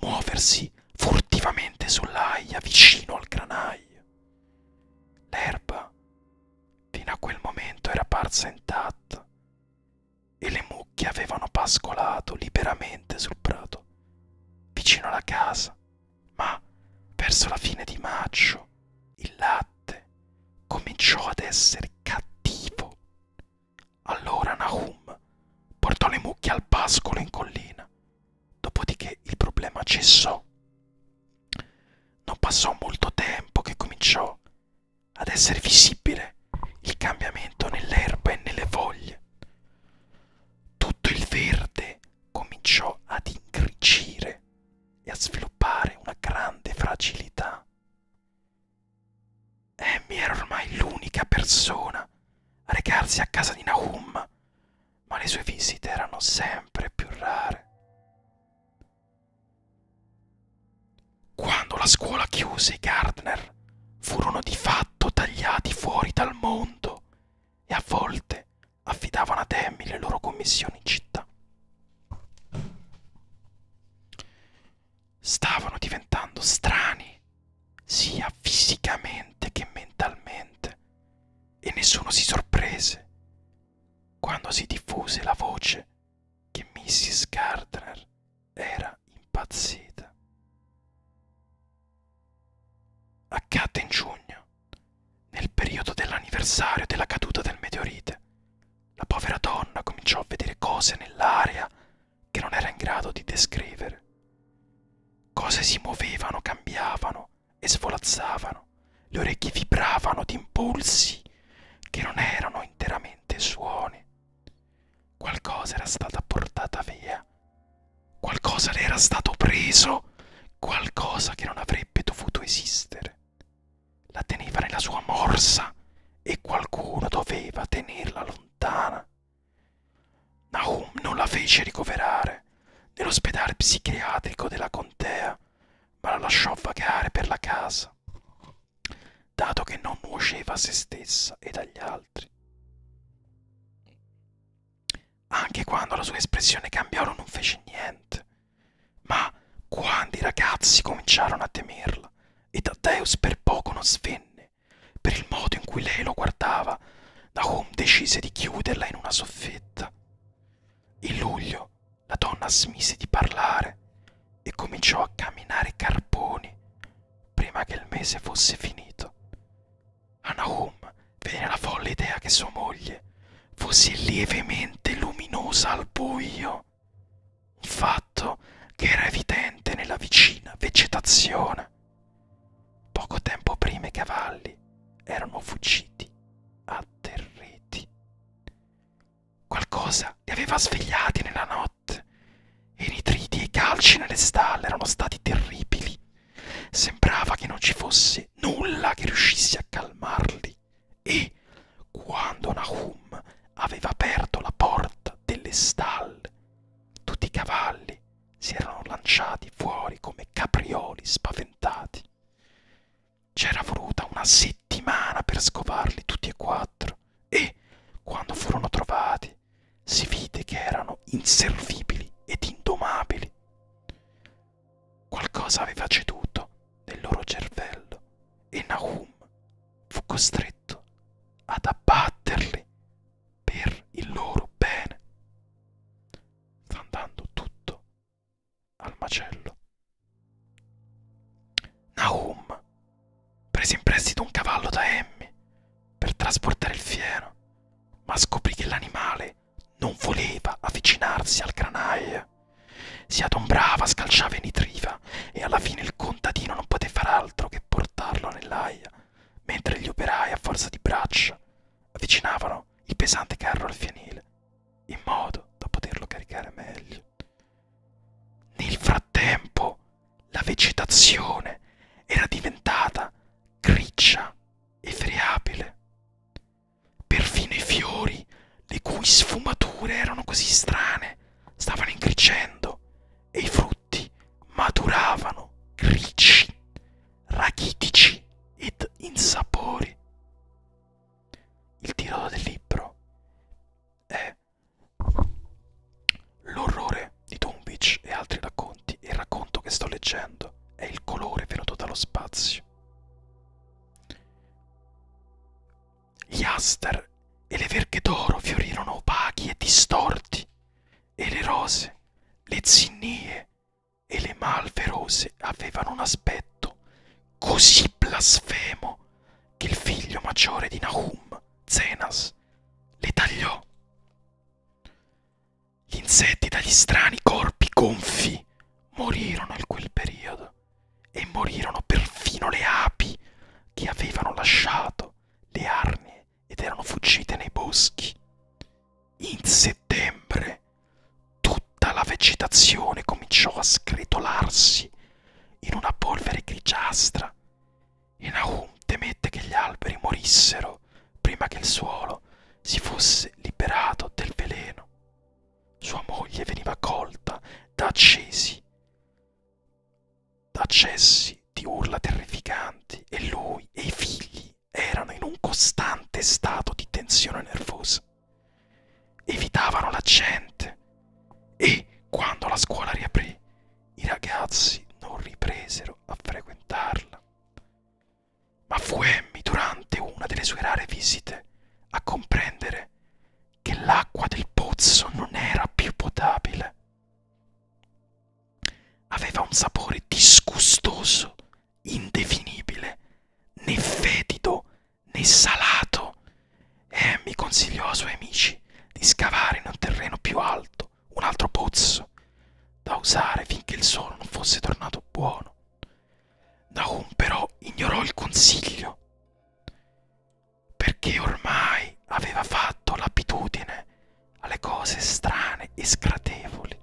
muoversi furtivamente sull'aia vicino al granaio. L'erba fino a quel momento era parsa intatta e le mucche avevano pascolato liberamente sul prato, vicino alla casa, ma verso la fine di maggio il latte cominciò ad essere cattivo. Allora Nahum portò le mucche al pascolo in collina, dopodiché il problema cessò. Non passò molto tempo che cominciò ad essere visibile il cambiamento nell'erba e nelle foglie. Tutto il verde cominciò ad ingrigire e a sviluppare una grande fragilità. Amy eh, era ormai l'unica persona a recarsi a casa di Nahum, ma le sue visite erano sempre più rare. Quando la scuola chiuse, i Gardner furono di fatto tagliati fuori dal mondo e a volte affidavano ad Amy le loro commissioni in città stavano diventando strani, sia fisicamente che mentalmente, e nessuno si sorprese quando si diffuse la voce che Mrs. Gardner era impazzita. Accadde in giugno, nel periodo dell'anniversario della caduta del meteorite. La povera donna cominciò a vedere cose nell'aria che non era in grado di descrivere. Cose si muovevano, cambiavano e svolazzavano, le orecchie vibravano di impulsi che non erano interamente suoni. Qualcosa era stata portata via, qualcosa le era stato preso, qualcosa che non avrebbe dovuto esistere. La teneva nella sua morsa e qualcuno doveva tenerla lontana lontana. Nahum non la fece ricoverare nell'ospedale psichiatrico della contea, ma la lasciò vagare per la casa, dato che non nuoceva a se stessa ed agli altri. Anche quando la sua espressione cambiarono non fece niente, ma quando i ragazzi cominciarono a temerla e Taddeus per poco non svenne, per il modo in cui lei lo guardava, Nahum decise di chiuderla in una soffitta. In luglio la donna smise di parlare e cominciò a camminare carponi prima che il mese fosse finito. A Nahum venne la folle idea che sua moglie fosse lievemente luminosa al buio il fatto che era evidente nella vicina vegetazione. Poco tempo prima i cavalli erano fuggiti, atterriti. Qualcosa li aveva svegliati nella notte e i nitriti e i calci nelle stalle erano stati terribili. Sembrava che non ci fosse nulla che riuscisse a calmarli e quando Nahum aveva aperto la porta delle stalle tutti i cavalli si erano lanciati fuori come caprioli spaventati. C'era voluta una settimana per scovarli tutti e quattro e, quando furono trovati, si vide che erano inservibili ed indomabili. Qualcosa aveva ceduto nel loro cervello e Nahum fu costretto ad abbatterli per il loro bene, andando tutto al macello. Nahum prese in prestito un cavallo da Emmy per trasportare il fieno, ma scoprì che l'animale non voleva avvicinarsi al granaio. Si adombrava, scalciava e nitriva Aia e alla fine il contadino non poté far altro che portarlo nell'aia, mentre gli operai a forza di braccia avvicinavano il pesante carro al fienile, in modo da poterlo caricare meglio. Nel frattempo la vegetazione era diventata griccia e friabile. Perfino i fiori, le cui sfumature erano così strane, stavano ingrigendo e i frutti minuti maturavano ricci, rachitici ed insapori. Il titolo del libro è L'orrore di Tombich e altri racconti e il racconto che sto leggendo è Il colore venuto dallo spazio. Gli aster e le verghe d'oro fiorirono opachi e distorti e le rose, le zinnie e le malve rose avevano un aspetto così blasfemo che il figlio maggiore di Nahum, Zenas, le tagliò. Gli insetti dagli strani corpi gonfi morirono in quel periodo e morirono perfino le api che avevano lasciato le arnie ed erano fuggite nei boschi. In settembre tutta la vegetazione cominciò a sgretolarsi in una polvere grigiastra e Nahum temette che gli alberi morissero prima che il suolo si fosse liberato del veleno. Sua moglie veniva colta da accesi accessi di urla terrificanti e lui e i figli erano in un costante stato di tensione nervosa. Evitavano la gente e quando la scuola riaprì i ragazzi non ripresero a frequentarla. Ma fu Emmy durante una delle sue rare visite a comprendere che l'acqua del pozzo non era più potabile Aveva un sapore disgustoso, indefinibile, né fetido né salato, e mi consigliò ai suoi amici di scavare in un terreno più alto un altro pozzo da usare finché il sole non fosse tornato buono. Nahum però ignorò il consiglio perché ormai aveva fatto l'abitudine alle cose strane e scratevoli.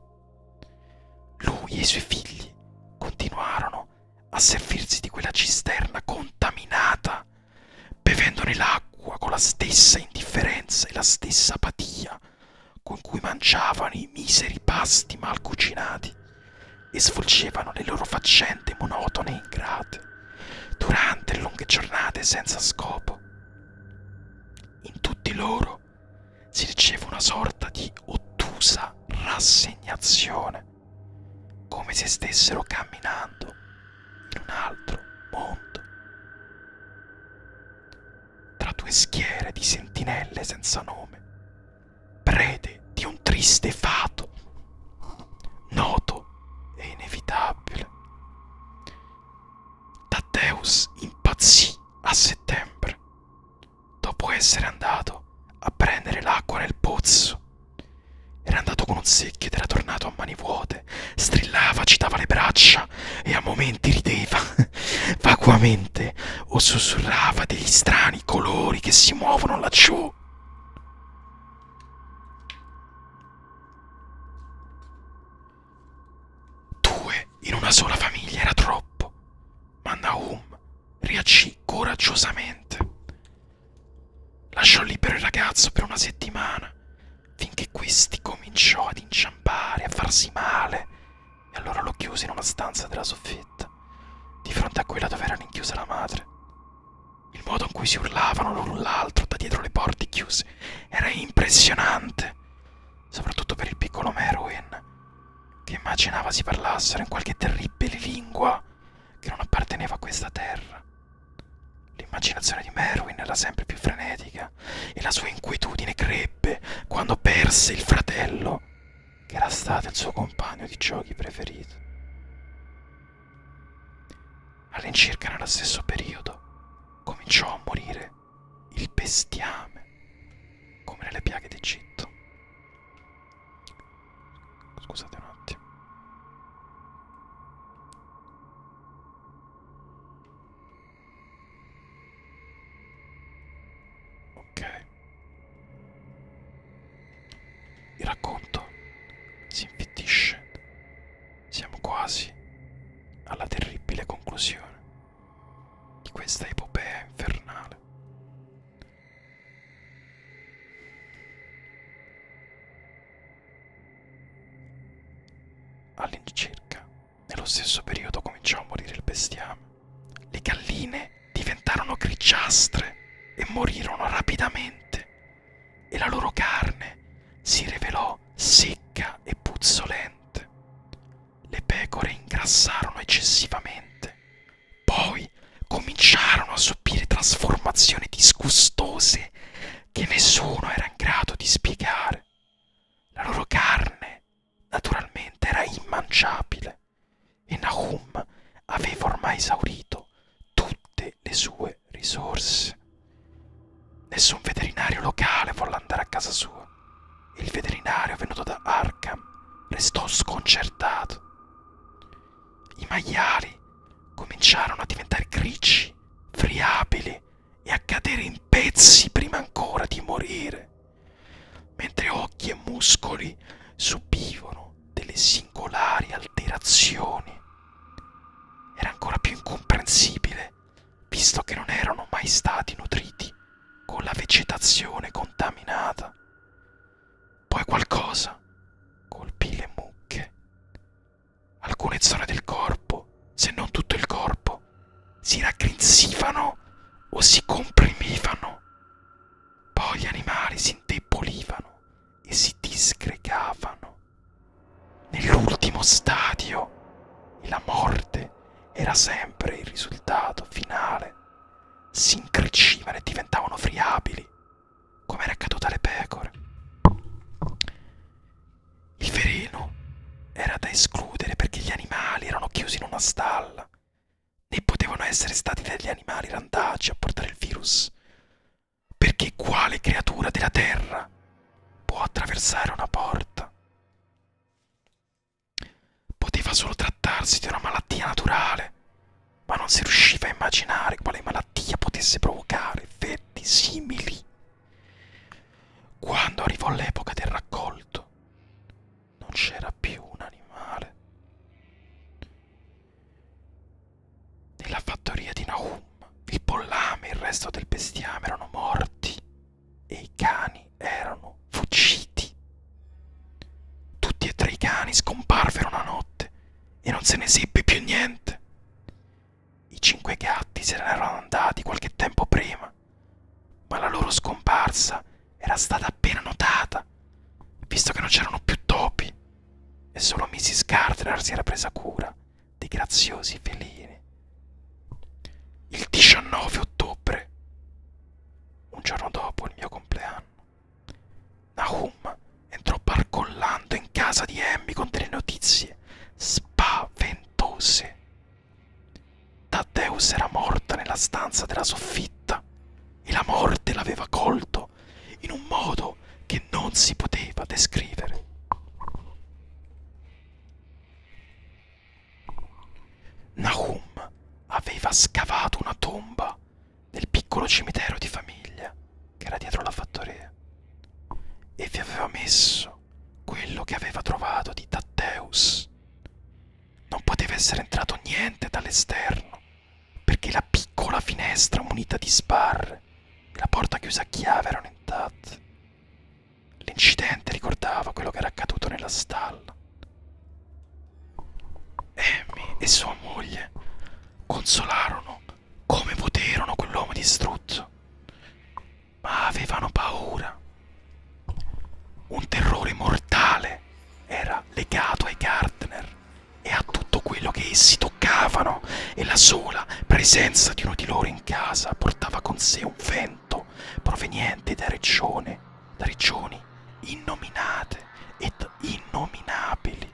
Lui e i suoi figli continuarono a servirsi di quella cisterna contaminata, bevendone l'acqua con la stessa indifferenza e la stessa apatia con cui mangiavano i miseri pasti mal cucinati e svolgevano le loro faccende monotone e ingrate durante lunghe giornate senza scopo. In tutti loro si riceve una sorta di ottusa rassegnazione, come se stessero camminando in un altro mondo. Tra due schiere di sentinelle senza nome, prede di un triste fato, noto e inevitabile. Taddeus impazzì a settembre, dopo essere andato a prendere l'acqua nel pozzo. Era andato con un secchio ed era tornato a mani vuote, strillava, agitava le braccia e a momenti rideva vacuamente o sussurrava degli strani colori che si muovono laggiù. Due in una sola famiglia era troppo, ma Nahum riacì coraggiosamente. Lasciò libero il ragazzo per una settimana, finché questi cominciò ad inciampare, a farsi male, e allora lo chiuse in una stanza della soffitta, di fronte a quella dove era rinchiusa la madre. Il modo in cui si urlavano l'un l'altro da dietro le porte chiuse era impressionante, soprattutto per il piccolo Merwin, che immaginava si parlassero in qualche terribile lingua che non apparteneva a questa terra. L'immaginazione di Merwin era sempre più frenetica e la sua inquietudine crebbe quando perse il fratello, che era stato il suo compagno di giochi preferito. All'incirca nello stesso periodo, cominciò a morire il bestiame come nelle piaghe d'Egitto. Scusate un attimo. Ok. Il racconto si infittisce siamo quasi alla terribile conclusione di questa epopea infernale. All'incirca, nello stesso periodo cominciò a morire il bestiame. Le galline diventarono grigiastre e morirono rapidamente e la loro carne si rivelò secca e puzzolente. Le pecore ingrassarono eccessivamente. Poi cominciarono a subire trasformazioni disgustose che nessuno era in grado di spiegare. La loro carne, naturalmente, era immangiabile e Nahum aveva ormai esaurito tutte le sue risorse. Nessun veterinario locale volle andare a casa sua. Il veterinario venuto da Arkham restò sconcertato. I maiali cominciarono a diventare grigi, friabili e a cadere in pezzi prima ancora di morire, mentre occhi e muscoli subivano delle singolari alterazioni. Era ancora più incomprensibile animale, visto che non erano mai stati nutriti con la vegetazione contaminata. Poi qualcosa colpì le mucche. Alcune zone del corpo, se non tutto il corpo, si raggrinzivano o si comprimivano. Poi gli animali si indebolivano e si disgregavano Nell'ultimo stadio la morte era sempre il risultato finale. Si incricivano e diventavano friabili, come era accaduto alle pecore. Il veleno era da escludere perché gli animali erano chiusi in una stalla, né potevano essere stati degli animali randaggi a portare il virus, perché quale creatura della terra può attraversare una porta. Poteva solo trattarsi di una malattia naturale, ma non si riusciva a immaginare quale malattia potesse provocare effetti simili. Quando arrivò l'epoca del raccolto, non c'era più un animale. Nella fattoria di Nahum il pollame e il resto del bestiame erano morti e i cani erano fuggiti. Tutti e tre i cani scomparvero una notte e non se ne seppe più niente. I cinque gatti se ne erano andati qualche tempo prima, ma la loro scomparsa era stata appena notata, visto che non c'erano più topi, e solo Mrs. Carter si era presa cura dei graziosi felini. Il 19 ottobre, un giorno dopo il mio compleanno, Nahum entrò barcollando in casa di Emmy con delle notizie spaventose. Taddeus era morta nella stanza della soffitta e la morte l'aveva colto in un modo che non si poteva descrivere. Nahum aveva scavato una tomba nel piccolo cimitero di famiglia che era dietro la fattoria e vi aveva messo quello che aveva trovato di Tatteus. Non poteva essere entrato niente dall'esterno perché la piccola finestra munita di sbarre e la porta chiusa a chiave erano intatte. L'incidente ricordava quello che era accaduto nella stalla. Amy e sua moglie consolarono come poterono quell'uomo distrutto, ma avevano paura. Un terrore mortale era legato ai Gardner e a tutto quello che essi toccavano e la sola presenza di uno di loro in casa portava con sé un vento proveniente da regione, da regioni innominate ed innominabili.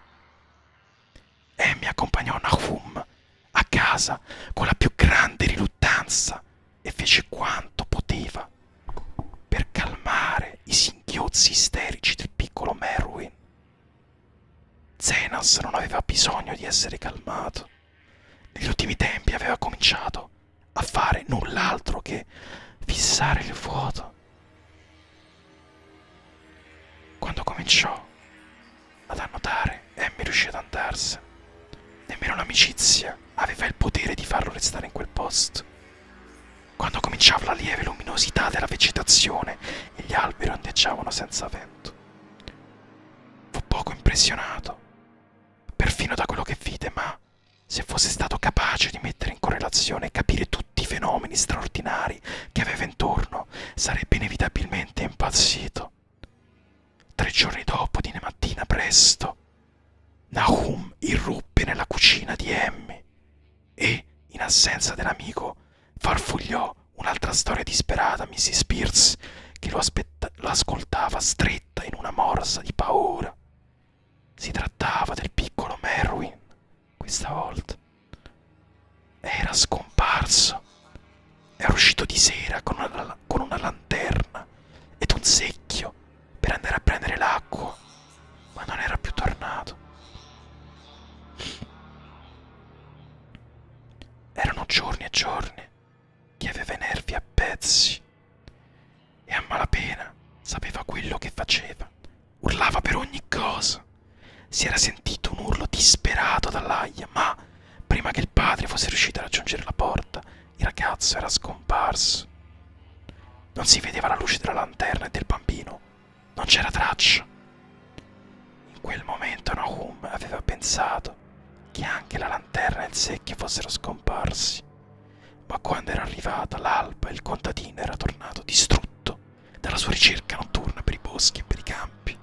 E mi accompagnò Nahum a casa con la più grande riluttanza e fece quanto poteva per calmare i singhiozzi isterici del piccolo Merwin. Zenas non aveva bisogno di essere calmato. Negli ultimi tempi aveva cominciato a fare null'altro che fissare il vuoto. Quando cominciò ad annotare, Amy riuscì ad andarsene. Nemmeno l'amicizia aveva il potere di farlo restare in quel posto. Quando cominciava la lieve luminosità della vegetazione e gli alberi ondeggiavano senza vento. Fu poco impressionato, perfino da quello che vide, ma se fosse stato capace di mettere in correlazione e capire tutti i fenomeni straordinari che aveva intorno, sarebbe inevitabilmente impazzito. Tre giorni dopo, di mattina presto, Nahum irruppe nella cucina di Emmy e, in assenza dell'amico, farfugliò un'altra storia disperata, Mrs. Pierce, che lo, lo ascoltava stretta in una morsa di paura. Si trattava del piccolo Merwin, questa volta. Era scomparso. Era uscito di sera con una, con una lanterna ed un secchio per andare a prendere l'acqua, ma non era più tornato. Erano giorni e giorni che aveva i nervi a pezzi e a malapena sapeva quello che faceva. Urlava per ogni cosa. Si era sentito un urlo disperato dall'aia, ma prima che il padre fosse riuscito a raggiungere la porta, il ragazzo era scomparso. Non si vedeva la luce della lanterna e del bambino, non c'era traccia. In quel momento Nahum aveva pensato che anche la lanterna e il secchio fossero scomparsi, ma quando era arrivata l'alba il contadino era tornato distrutto dalla sua ricerca notturna per i boschi e per i campi.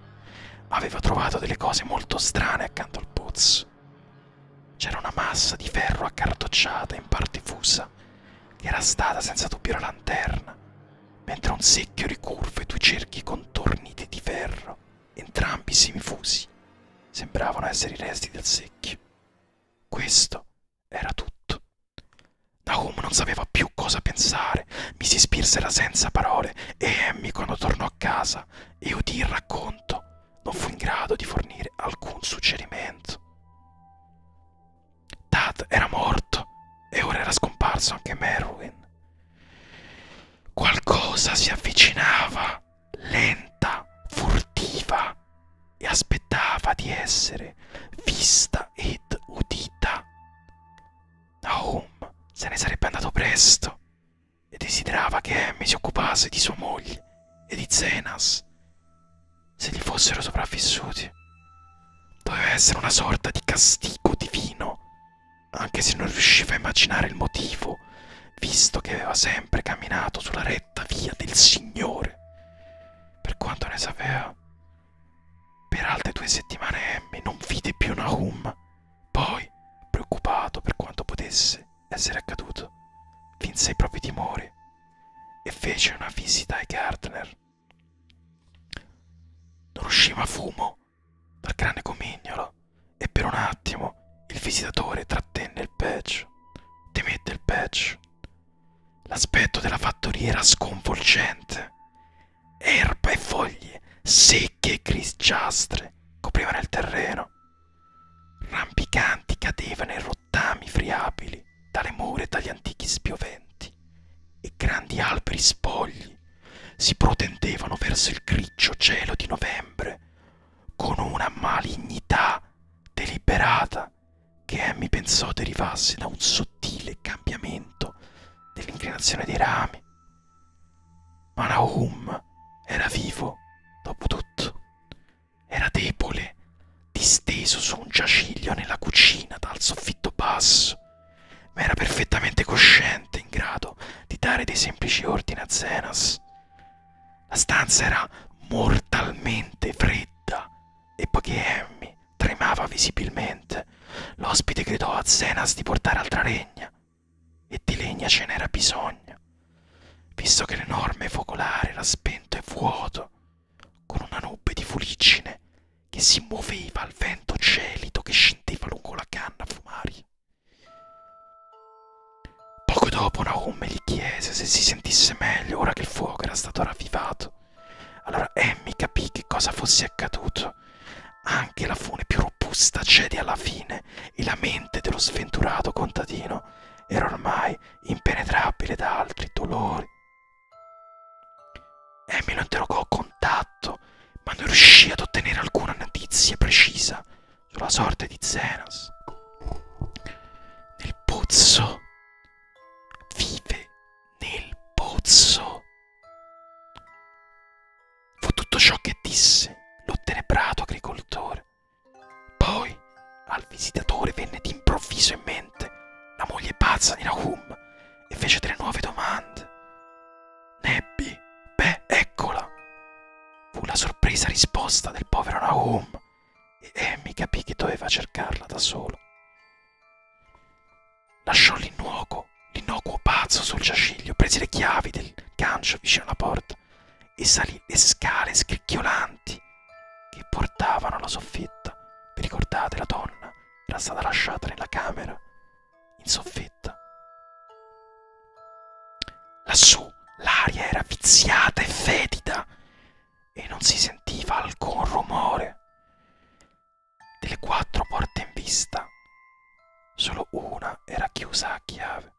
Aveva trovato delle cose molto strane accanto al pozzo. C'era una massa di ferro accartocciata, in parte fusa, che era stata senza dubbio la lanterna, mentre un secchio ricurvo e due cerchi contorniti di ferro entrambi semifusi, sembravano essere i resti del secchio. Questo era tutto. Nahum non sapeva più cosa pensare, mi si spirsera senza parole e Emmy, quando tornò a casa e udì il racconto, non fu in grado di fornire alcun suggerimento. Tad era morto e ora era scomparso anche Merwin. Qualcosa si avvicinava, lenta, furtiva, e aspettava di essere vista ed udita. Nahum se ne sarebbe andato presto e desiderava che Emmy si occupasse di sua moglie e di Zenas, se gli fossero sopravvissuti. Doveva essere una sorta di castigo divino anche se non riusciva a immaginare il motivo, visto che aveva sempre camminato sulla retta via del Signore. Per quanto ne sapeva, per altre due settimane Emmy non vide più Nahum. Poi, preoccupato per quanto potesse essere accaduto, vinse i propri timori e fece una visita ai Gardner. Non usciva fumo dal grande comignolo e per un attimo il visitatore trattenne il patch. Temette il patch. L'aspetto della fattoria era sconvolgente. Erba e foglie secche e grigiastre coprivano il terreno. Rampicanti cadevano in rottami friabili dalle mura e dagli antichi spioventi, e grandi alberi spogli si protendevano verso il grigio cielo di novembre con una malignità deliberata che Emmy pensò derivasse da un sottile cambiamento dell'inclinazione dei rami. Ma Nahum era vivo, dopo tutto. Era debole, disteso su un giaciglio nella cucina dal soffitto basso, ma era perfettamente cosciente, in grado di dare dei semplici ordini a Zenas. La stanza era mortalmente fredda e poiché Emmy tremava visibilmente, l'ospite gridò a Zenas di portare altra legna. E di legna ce n'era bisogno, visto che l'enorme focolare era spento e vuoto, con una nube di fuliggine che si muoveva al vento gelido che scendeva lungo la canna fumaria. Poco dopo Naomi gli chiese se si sentisse meglio ora che il fuoco era stato ravvivato. Allora Emmy capì che cosa fosse accaduto. Anche la fune più robusta cede alla fine e la mente dello sventurato contadino era ormai impenetrabile da altri dolori. Emmy lo interrogò a contatto, ma non riuscì ad ottenere alcuna notizia precisa sulla sorte di Zenas. Nel pozzo. Vive nel pozzo. Fu tutto ciò che disse l'ottenebrato agricoltore. Poi al visitatore venne d'improvviso in mente la moglie pazza di Nahum e fece tre nuove domande. Nebbi, beh, eccola! Fu la sorpresa risposta del povero Nahum e Amy capì che doveva cercarla da solo. Lasciò l'innuoco, l'innocuo pazzo sul giaciglio, prese le chiavi del gancio vicino alla porta e salì le scale scricchiolanti che portavano alla soffitta. Vi ricordate, la donna era stata lasciata nella camera, in soffitta. Lassù l'aria era viziata e fetida e non si sentiva alcun rumore. Delle quattro porte in vista, solo una era chiusa a chiave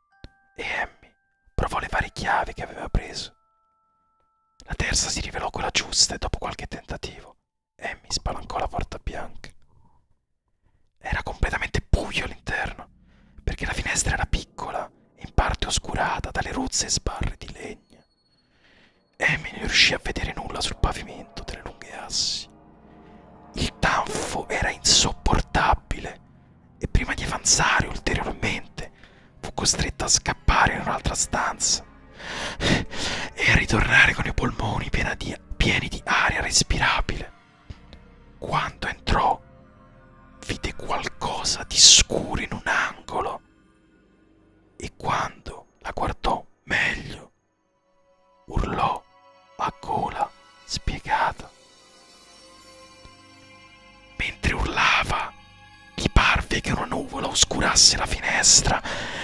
e Emmy provò le varie chiavi che aveva preso. La terza si rivelò quella giusta e dopo qualche tentativo Emmy spalancò la porta bianca. Era completamente buio all'interno, perché la finestra era piccola e in parte oscurata dalle rozze sbarre di legno. Amy non riuscì a vedere nulla sul pavimento delle lunghe assi. Il tanfo era insopportabile e prima di avanzare ulteriormente fu costretta a scappare in un'altra stanza e a ritornare con i polmoni pieni di, pieni di aria respirabile. Quando entrò, vide qualcosa di scuro in un angolo e quando la guardò meglio, urlò a gola spiegata. Mentre urlava, gli parve che una nuvola oscurasse la finestra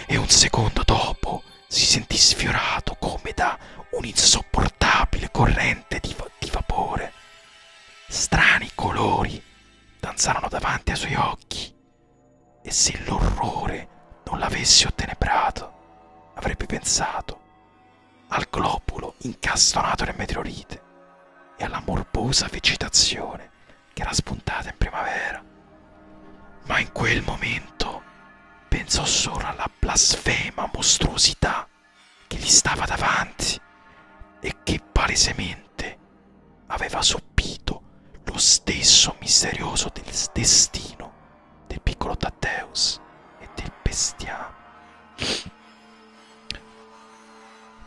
e un secondo dopo si sentì sfiorato come da era un'insopportabile corrente di, va di vapore. Strani colori danzarono davanti ai suoi occhi e se l'orrore non l'avessi ottenebrato avrebbe pensato al globulo incastonato nel meteorite e alla morbosa vegetazione che era spuntata in primavera. Ma in quel momento pensò solo alla blasfema mostruosità che gli stava davanti e che palesemente aveva soppito lo stesso misterioso del destino del piccolo Tatteus e del bestiame.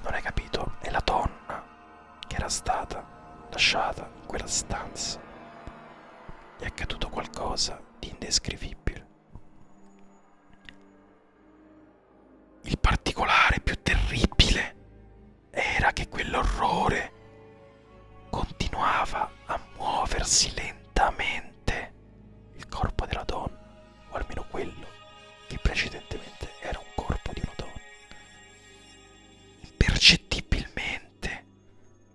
Non hai capito? È la donna che era stata lasciata in quella stanza. Gli è accaduto qualcosa di indescrivibile. Il particolare più terribile era che quell'orrore continuava a muoversi lentamente il corpo della donna, o almeno quello che precedentemente era un corpo di una donna. Impercettibilmente,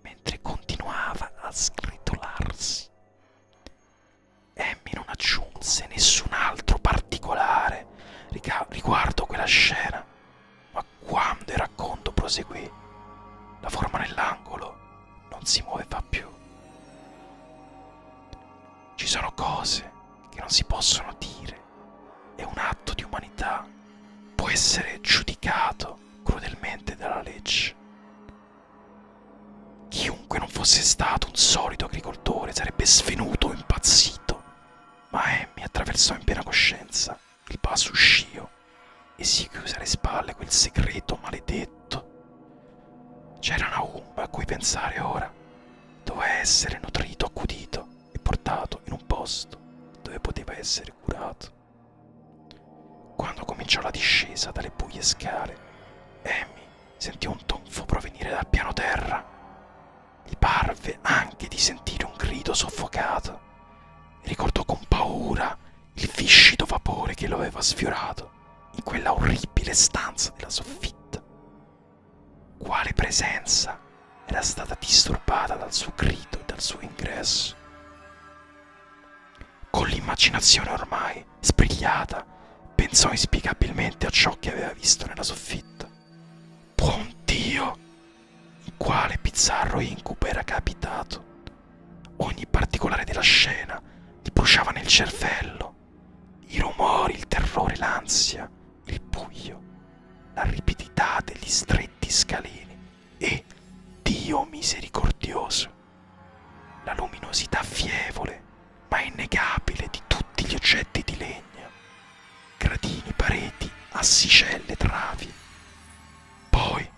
mentre continuava a sgretolarsi, Emmy non aggiunse nessun altro particolare riguardo quella scena, ma quando il racconto proseguì, la forma nell'angolo non si muoveva più. Ci sono cose che non si possono dire e un atto di umanità può essere giudicato crudelmente dalla legge, Chiunque non fosse stato un solito agricoltore sarebbe svenuto o impazzito, ma Emmy eh, attraversò in piena coscienza il passo uscio e si chiuse alle spalle quel segreto maledetto. C'era una ombra a cui pensare ora, doveva essere nutrito, accudito e portato in un posto dove poteva essere curato. Quando cominciò la discesa dalle buie scale, Amy sentì un tonfo provenire dal piano terra. Gli parve anche di sentire un grido soffocato e ricordò con paura il viscido vapore che lo aveva sfiorato in quella orribile stanza della soffitta. Quale presenza era stata disturbata dal suo grido e dal suo ingresso? Con l'immaginazione ormai sbrigliata, pensò inspiegabilmente a ciò che aveva visto nella soffitta. Buon Dio! In quale bizzarro incubo era capitato? Ogni particolare della scena gli bruciava nel cervello. I rumori, il terrore, l'ansia, il buio, la ripidità degli stretti scalini e, Dio misericordioso, la luminosità fievole ma innegabile di tutti gli oggetti di legno, gradini, pareti, assicelle, travi. Poi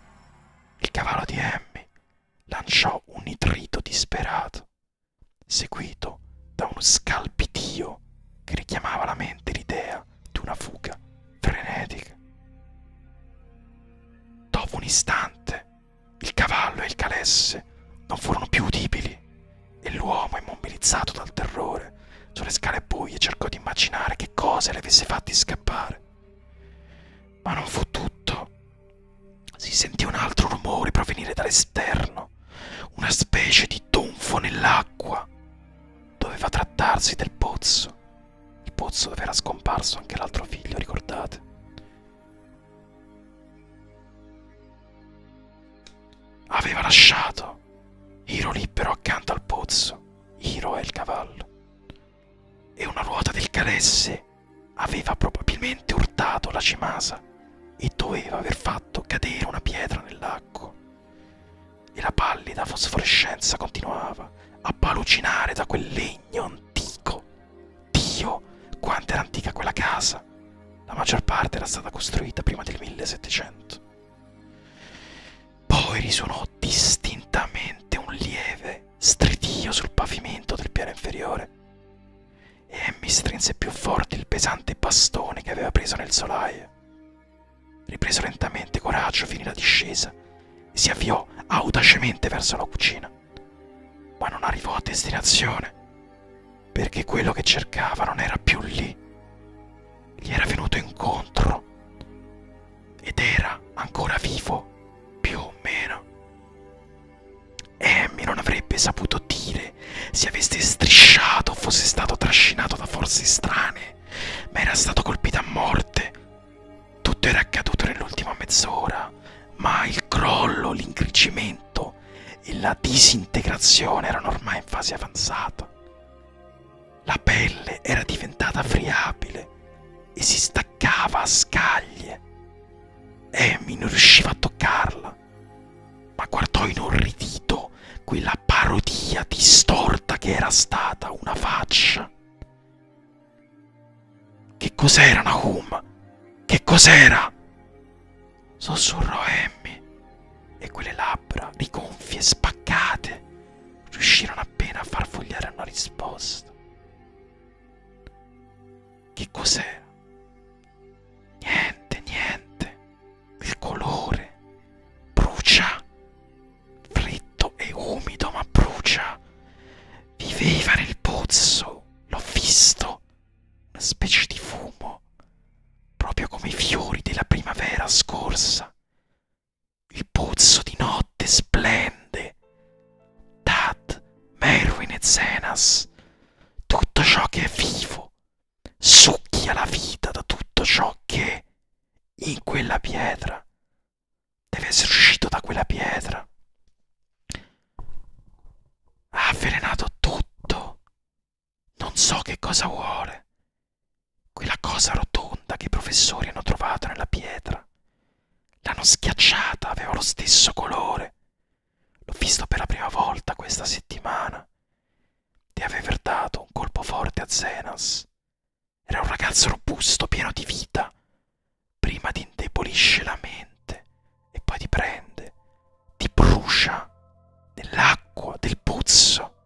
il cavallo di Emmy lanciò un nitrito disperato, seguito da uno scalpitio che richiamava alla mente l'idea di una fuga frenetica. Dopo un istante il cavallo e il calesse non furono più udibili e l'uomo, immobilizzato dal terrore, sulle scale buie cercò di immaginare che cosa le avesse fatti scappare. Ma non fu tutto. Si sentì un altro rumore provenire dall'esterno, una specie di tonfo nell'acqua. Doveva trattarsi del pozzo, il pozzo dove era scomparso anche l'altro figlio, ricordate? Aveva lasciato Hiro libero accanto al pozzo, Hiro e il cavallo, e una ruota del caresse aveva probabilmente urtato la cimasa e doveva aver fatto cadere una pietra nell'acqua. E la pallida fosforescenza continuava a palucinare da quel legno antico. Dio, quanto era antica quella casa! La maggior parte era stata costruita prima del 1700. Poi risuonò distintamente un lieve stridio sul pavimento del piano inferiore e Emmy strinse più forte il pesante bastone che aveva preso nel solaio. Ripreso lentamente coraggio, finì la discesa e si avviò audacemente verso la cucina ma non arrivò a destinazione perché quello che cercava non era più lì. Gli era venuto incontro ed era ancora vivo, più o meno. Amy non avrebbe saputo dire se avesse strisciato o fosse stato trascinato da forze strane, ma era stato colpito a morte tutto era accaduto nell'ultima mezz'ora, ma il crollo, l'ingrigimento e la disintegrazione erano ormai in fase avanzata. La pelle era diventata friabile e si staccava a scaglie. Amy non riusciva a toccarla, ma guardò inorridito quella parodia distorta che era stata una faccia. Che cos'era, Nahum? Che cos'era? Sussurrò Emmy e quelle labbra, rigonfie e spaccate, riuscirono appena a far fogliare una risposta. Che cos'era? Niente, niente. Il colore brucia. Fritto e umido, ma brucia. Viveva nel pozzo, l'ho visto, una specie di fumo, proprio come i fiori della primavera scorsa. Il pozzo di notte splende. Tad, Merwin e Zenas, tutto ciò che è vivo, succhia la vita da tutto ciò che è in quella pietra. Deve essere uscito da quella pietra. Ha avvelenato tutto. Non so che cosa vuole. Quella cosa rotonda che i professori hanno trovato nella pietra. L'hanno schiacciata, aveva lo stesso colore. L'ho visto per la prima volta questa settimana. Di aver dato un colpo forte a Zenas. Era un ragazzo robusto, pieno di vita, prima ti indebolisce la mente e poi ti prende, ti brucia nell'acqua del pozzo.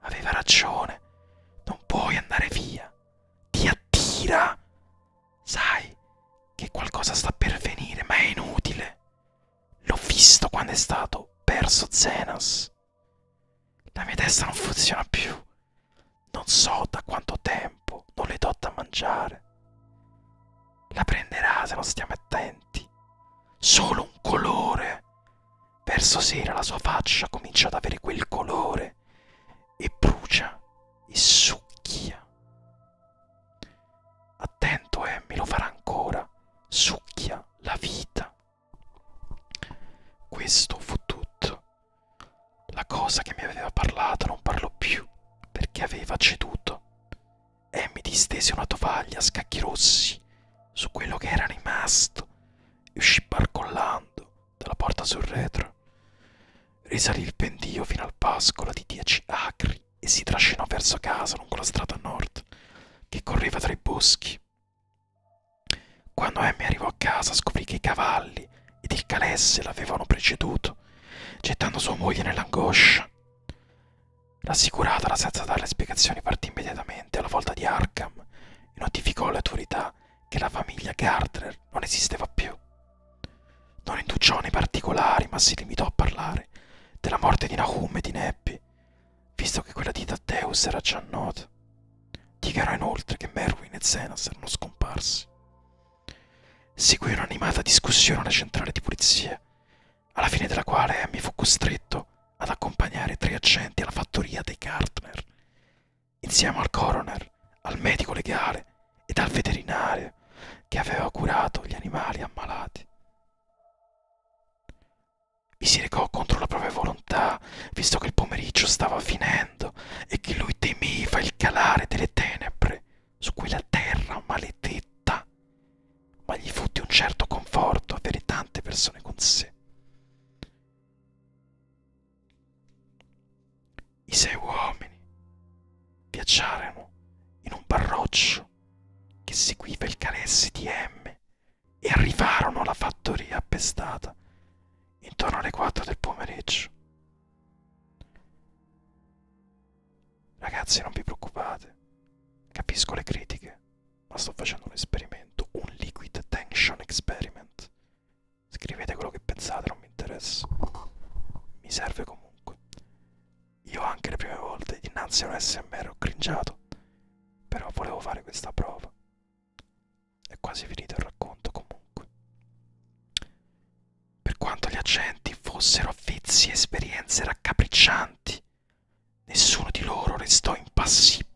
Aveva ragione, non puoi andare via, ti attira. Sai che qualcosa sta per venire, ma è inutile. L'ho visto quando è stato perso Zenas. La mia testa non funziona più. Non so da quanto tempo tempo, non le do da mangiare. La prenderà se non stiamo attenti. Solo un colore. Verso sera la sua faccia comincia ad avere quel colore e brucia e succhia. Attento, Emmy, lo farà ancora. Succhia la vita. Questo fu tutto la cosa che mi aveva parlato non parlò più perché aveva ceduto e mi distese una tovaglia a scacchi rossi su quello che era rimasto e uscì barcollando dalla porta sul retro. Risalì il pendio fino al pascolo di dieci acri e si trascinò verso casa lungo la strada nord che correva tra i boschi. Quando Emmy arrivò a casa scoprì che i cavalli ed il calesse l'avevano preceduto, gettando sua moglie nell'angoscia. Rassicurata, senza dare spiegazioni, partì immediatamente alla volta di Arkham e notificò alle autorità che la famiglia Gardner non esisteva più. Non indugiò nei particolari, ma si limitò a parlare della morte di Nahum e di Neppy, visto che quella di Tadeus era già nota. Dichiarò inoltre che Merwin e Zenas erano scomparsi. Seguì un'animata discussione alla centrale di polizia, alla fine della quale mi fu costretto ad accompagnare tre agenti alla fattoria dei Gardner, insieme al coroner, al medico legale ed al veterinario che aveva curato gli animali ammalati. Mi si recò contro la propria volontà, visto che il pomeriggio stava finendo e che lui temeva il calare delle tenebre su quella terra maledetta, ma gli fu di un certo conforto avere tante persone con sé. I sei uomini viaggiarono in un barroccio che seguiva il caressi di M e arrivarono alla fattoria appestata intorno alle 4 del pomeriggio. Ragazzi, non vi preoccupate. Capisco le critiche, ma sto facendo un esperimento, un liquid tension experiment. Scrivete quello che pensate, non mi interessa. Mi serve comunque. Io anche le prime volte dinanzi a un SMR ho cringiato, però volevo fare questa prova. È quasi finito il racconto comunque. Per quanto gli accenti fossero avvezzi a esperienze raccapriccianti, nessuno di loro restò impassibile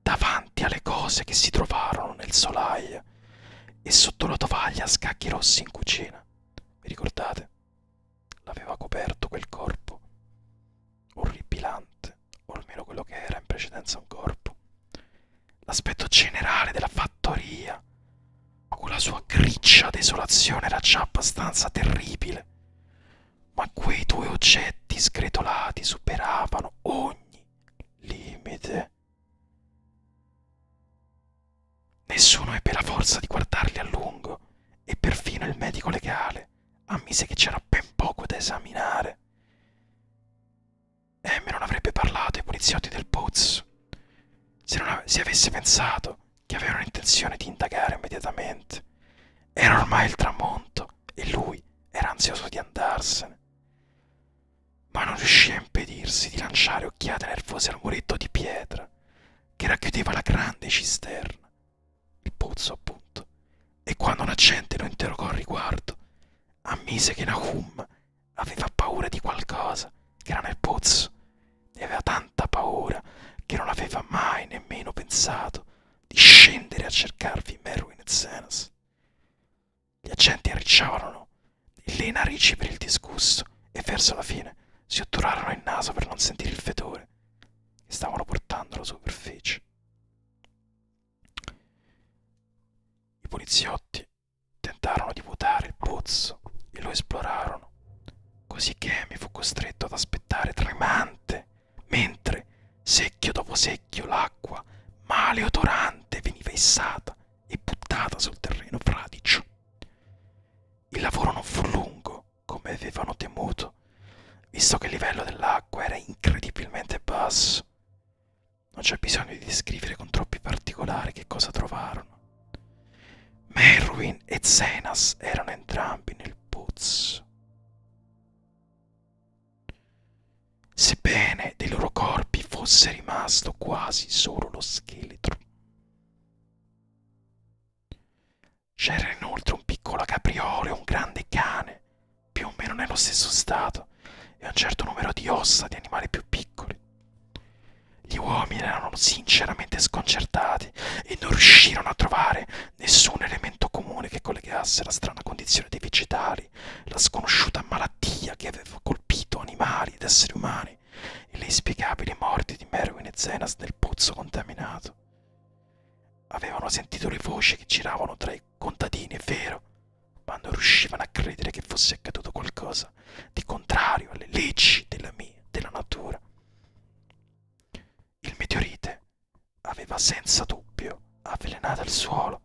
davanti alle cose che si trovarono nel solaio e sotto la tovaglia a scacchi rossi in cucina. Vi ricordate? L'aveva coperto quel corpo orribilante, o almeno quello che era in precedenza un corpo. L'aspetto generale della fattoria con la sua griccia desolazione era già abbastanza terribile, ma quei due oggetti sgretolati superavano ogni limite. Nessuno ebbe la forza di guardarli a lungo e perfino il medico legale ammise che c'era ben poco da esaminare. Emme non avrebbe parlato ai poliziotti del Pozzo se, non se avesse pensato che avevano intenzione di indagare immediatamente, era ormai il tramonto e lui era ansioso di andarsene. Ma non riuscì a impedirsi di lanciare occhiate nervose al muretto di pietra che racchiudeva la grande cisterna, il pozzo appunto, e quando un accente lo interrogò al riguardo, ammise che Nahum aveva paura di qualcosa, che era nel pozzo, e aveva tanta paura che non aveva mai nemmeno pensato di scendere a cercarvi Merwin e Zenas. Gli agenti arricciavano le narici per il disgusto e verso la fine si otturarono il naso per non sentire il fetore che stavano portando alla superficie. I poliziotti tentarono di vuotare il pozzo e lo esplorarono, così che mi fu costretto ad aspettare tremante, mentre secchio dopo secchio l'acqua maleodorante veniva issata e buttata sul terreno fradicio. Il lavoro non fu lungo, come avevano temuto, visto che il livello dell'acqua era incredibilmente basso. Non c'è bisogno di descrivere con troppi particolari che cosa trovarono. Merwin e Zenas erano entrambi nel pozzo. Sebbene dei loro corpi fosse rimasto quasi solo lo scheletro. C'era inoltre un piccolo capriole, un grande cane, più o meno nello stesso stato, e un certo numero di ossa di animali più piccoli. Gli uomini erano sinceramente sconcertati e non riuscirono a trovare nessun elemento comune che collegasse la strana condizione dei vegetali, la sconosciuta malattia che aveva colpito animali ed esseri umani e le inspiegabili morti di Merwin e Zenas nel pozzo contaminato. Avevano sentito le voci che giravano tra i contadini, è vero, ma non riuscivano a credere che fosse accaduto qualcosa qualcosa di contrario alle leggi della, mia, della natura. Il meteorite aveva senza dubbio avvelenato il suolo,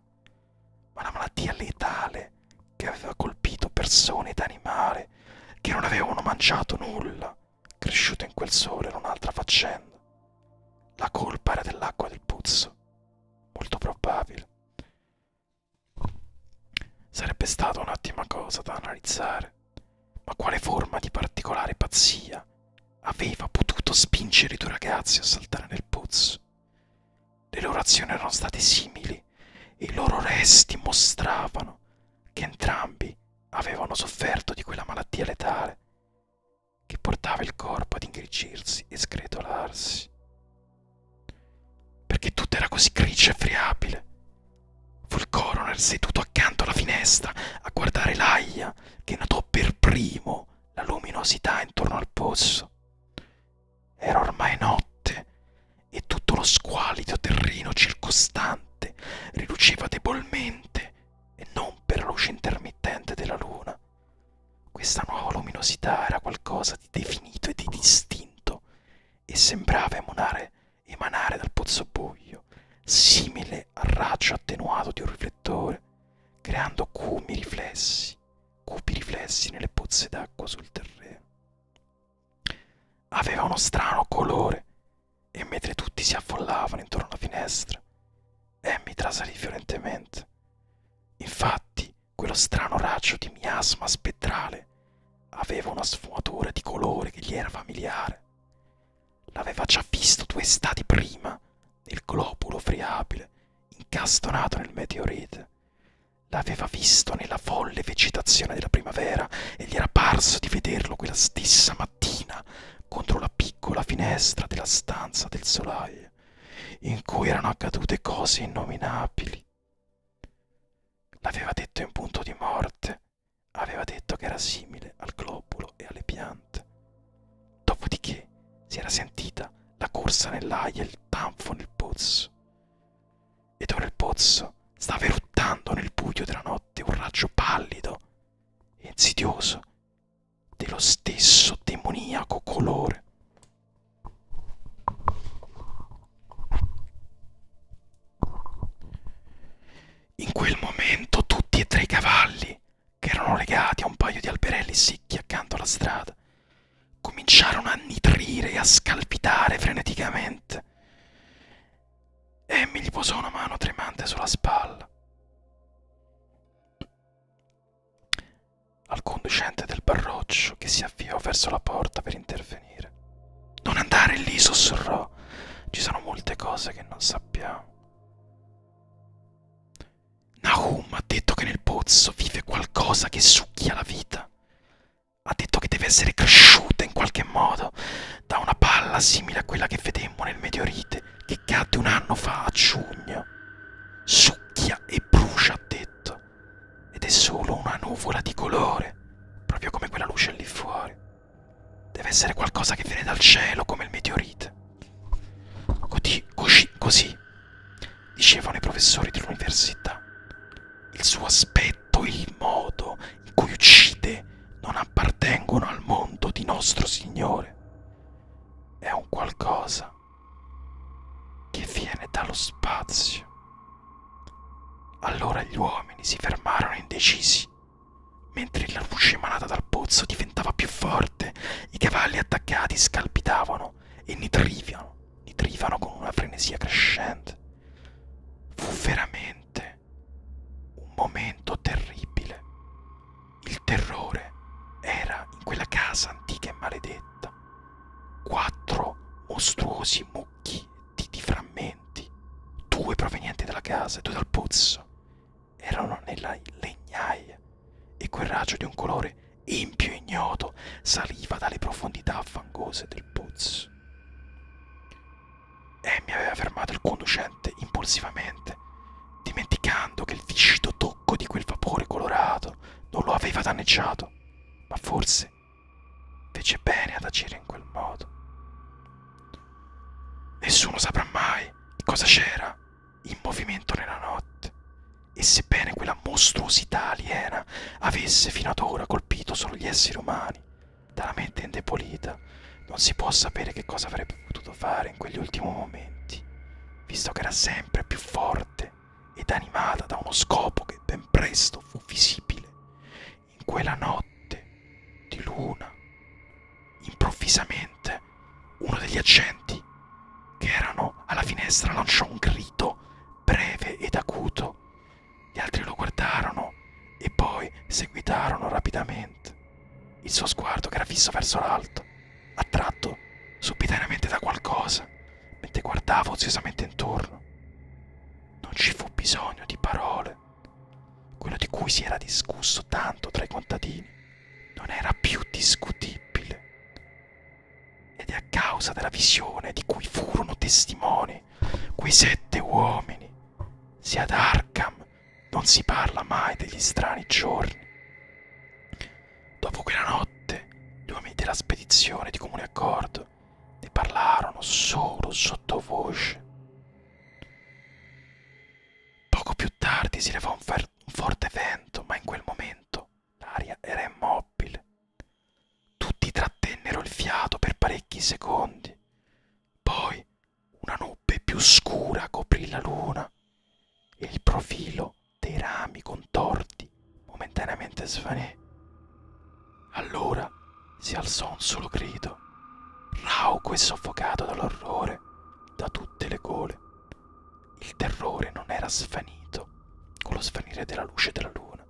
ma la malattia letale che aveva colpito persone ed animali che non avevano mangiato nulla, cresciuto in quel sole era un'altra faccenda. La colpa era dell'acqua del puzzo, molto probabile. Sarebbe stata un'ottima cosa da analizzare, ma quale forma di particolare pazzia aveva potuto spingere i due ragazzi a saltare nel pozzo? Le loro azioni erano state simili e i loro resti mostravano che entrambi avevano sofferto di quella malattia letale che portava il corpo ad ingrigirsi e sgretolarsi perché tutto era così grigio e friabile. Fu il coroner seduto accanto alla finestra a guardare l'aia che notò per primo la luminosità intorno al pozzo. Era ormai notte e tutto lo squalido terreno circostante riluceva debolmente e non per la luce intermittente della luna. Questa nuova luminosità era qualcosa di definito e di distinto e sembrava emanare emanare dal pozzobuio, simile al raggio attenuato di un riflettore, creando cupi riflessi, cupi riflessi nelle pozze d'acqua sul terreno. Aveva uno strano colore e mentre tutti si affollavano intorno alla finestra, Emmy trasalì violentemente. Infatti, quello strano raggio di miasma spettrale Aveva una sfumatura di colore che gli era familiare. L'aveva già visto due stati prima, nel globulo friabile, incastonato nel meteorite. L'aveva visto nella folle vegetazione della primavera e gli era parso di vederlo quella stessa mattina contro la piccola finestra della stanza del solaio, in cui erano accadute cose innominabili. L'aveva detto in punto di morte, aveva detto che era simile al globulo e alle piante. Dopodiché si era sentita la corsa nell'aia e il tanfo nel pozzo. Ed ora il pozzo stava eruttando nel buio della notte un raggio pallido e insidioso dello stesso demoniaco colore. In quel momento tutti e tre i cavalli, che erano legati a un paio di alberelli secchi accanto alla strada, cominciarono a nitrire e a scalpitare freneticamente. Emmy gli posò una mano tremante sulla spalla. Al conducente del barroccio che si avviò verso la porta per intervenire intervenire. Non andare lì, sussurrò. Ci sono molte cose che non sappiamo. Nahum ha detto che nel pozzo vive qualcosa che succhia la vita. Ha detto che deve essere cresciuta in qualche modo da una palla simile a quella che vedemmo nel meteorite che cadde un anno fa a giugno. Succhia e brucia, ha detto ed è solo una nuvola di colore, proprio come quella luce lì fuori. Deve essere qualcosa che viene dal cielo, come il meteorite. Così, così, così dicevano i professori dell'università. Il suo aspetto e il modo in cui uccide non appartengono al mondo di nostro Signore. È un qualcosa che viene dallo spazio. Allora gli uomini si fermarono indecisi. Mentre la luce emanata dal pozzo diventava più forte, i cavalli attaccati scalpitavano e nitrivano, nitrivano con una frenesia crescente. Fu veramente un momento terribile. Il terrore era in quella casa antica e maledetta. Quattro mostruosi mucchi di, di frammenti, due provenienti dalla casa e due dal pozzo. Erano nella legnaia e quel raggio di un colore impio ignoto saliva dalle profondità fangose del pozzo. E mi aveva fermato il conducente impulsivamente, dimenticando che il viscido tocco di quel vapore colorato non lo aveva danneggiato, ma forse Fece bene ad agire in quel modo. Nessuno saprà mai cosa c'era in movimento nella notte e sebbene quella mostruosità aliena avesse fino ad ora colpito solo gli esseri umani, dalla mente indebolita, non si può sapere che cosa avrebbe potuto fare in quegli ultimi momenti, visto che era sempre più forte ed animata da uno scopo che ben presto fu visibile in quella notte di luna, improvvisamente uno degli agenti che erano alla finestra lanciò un grido breve ed acuto. Gli altri lo guardarono e poi seguitarono rapidamente. Il suo sguardo che era fisso verso l'alto, attratto subitamente da qualcosa, mentre guardava oziosamente intorno. Non ci fu bisogno di parole. Quello di cui si era discusso tanto tra i contadini non era più discutibile. Ed è a causa della visione di cui furono testimoni quei sette uomini. Se ad Arkham non si parla mai degli strani giorni. Dopo quella notte, gli uomini della spedizione di comune accordo ne parlarono solo sottovoce. Poco più tardi si levò un, un forte vento, ma in quel momento l'aria era immobile. Tutti trattennero il fiato per parecchi secondi. Poi una nube più scura coprì la luna e il profilo dei rami contorti momentaneamente svanì. Allora si alzò un solo grido, rauco e soffocato dall'orrore, da tutte le gole. Il terrore non era svanito con lo svanire della luce della luna.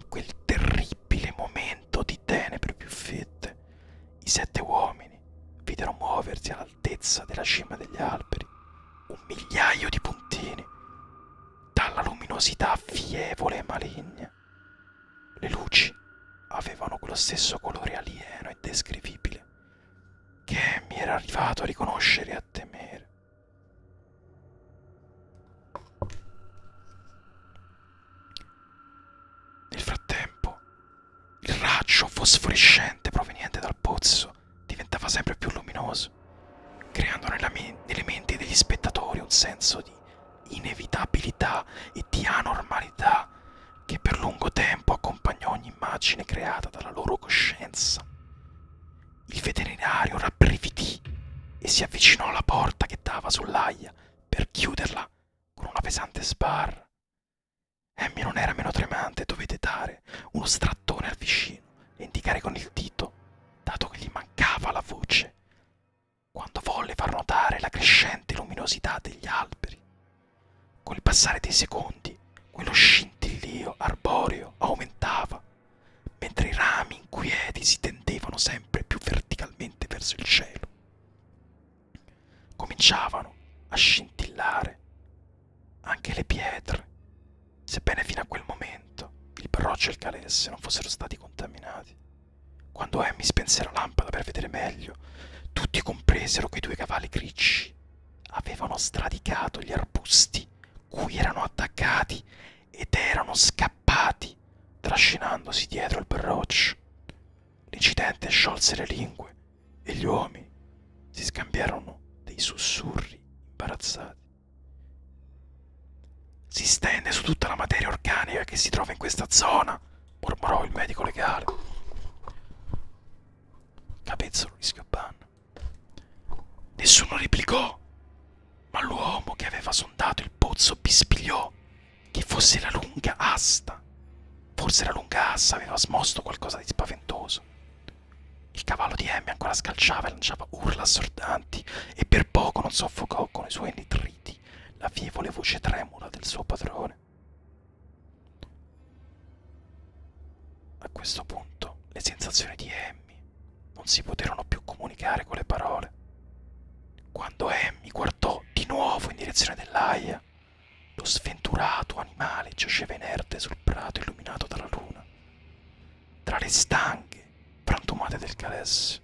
In quel terribile momento di tenebre più fette, i sette uomini videro muoversi all'altezza della cima degli alberi un migliaio di puntini dalla luminosità fievole e maligna bene. Le luci avevano quello stesso colore alieno e descrivibile che mi era arrivato a riconoscere e a temere. Nel frattempo, il raggio fosforescente proveniente dal pozzo diventava sempre più luminoso, creando nelle menti degli spettatori un senso di inevitabilità e di anormalità che per lungo tempo accompagnò ogni immagine creata dalla loro coscienza. Il veterinario rabbrividì e si avvicinò alla porta che dava sull'aia per chiuderla con una pesante sbarra. Emmy non era meno tremante, dovette dare uno strattone al vicino e indicare con il dito, dato che gli mancava la voce quando volle far notare la crescente luminosità degli alberi. Col passare dei secondi, quello scintillio arboreo aumentava, mentre i rami inquieti si tendevano sempre più verticalmente verso il cielo. Cominciavano a scintillare anche le pietre, sebbene fino a quel momento il parroccio e il calesse non fossero stati contaminati. Quando Amy spense la lampada per vedere meglio, tutti compresero che i due cavalli grigi avevano stradicato gli arbusti cui erano attaccati ed erano scappati, trascinandosi dietro il berroccio. L'incidente sciolse le lingue e gli uomini si scambiarono dei sussurri imbarazzati si stende su tutta la materia organica che si trova in questa zona, mormorò il medico legale. Capezzolo rischio banno. Nessuno replicò, ma l'uomo che aveva sondato il pozzo bispigliò che fosse la lunga asta. Forse la lunga assa aveva smosto qualcosa di spaventoso. Il cavallo di Emmy ancora scalciava e lanciava urla assordanti e per poco non soffocò con i suoi nitriti sentì la fievole voce tremula del suo padrone. A questo punto le sensazioni di Emmy non si poterono più comunicare con le parole. Quando Emmy guardò di nuovo in direzione dell'aia, lo sventurato animale giaceva inerte sul prato illuminato dalla luna, tra le stanghe frantumate del calesse.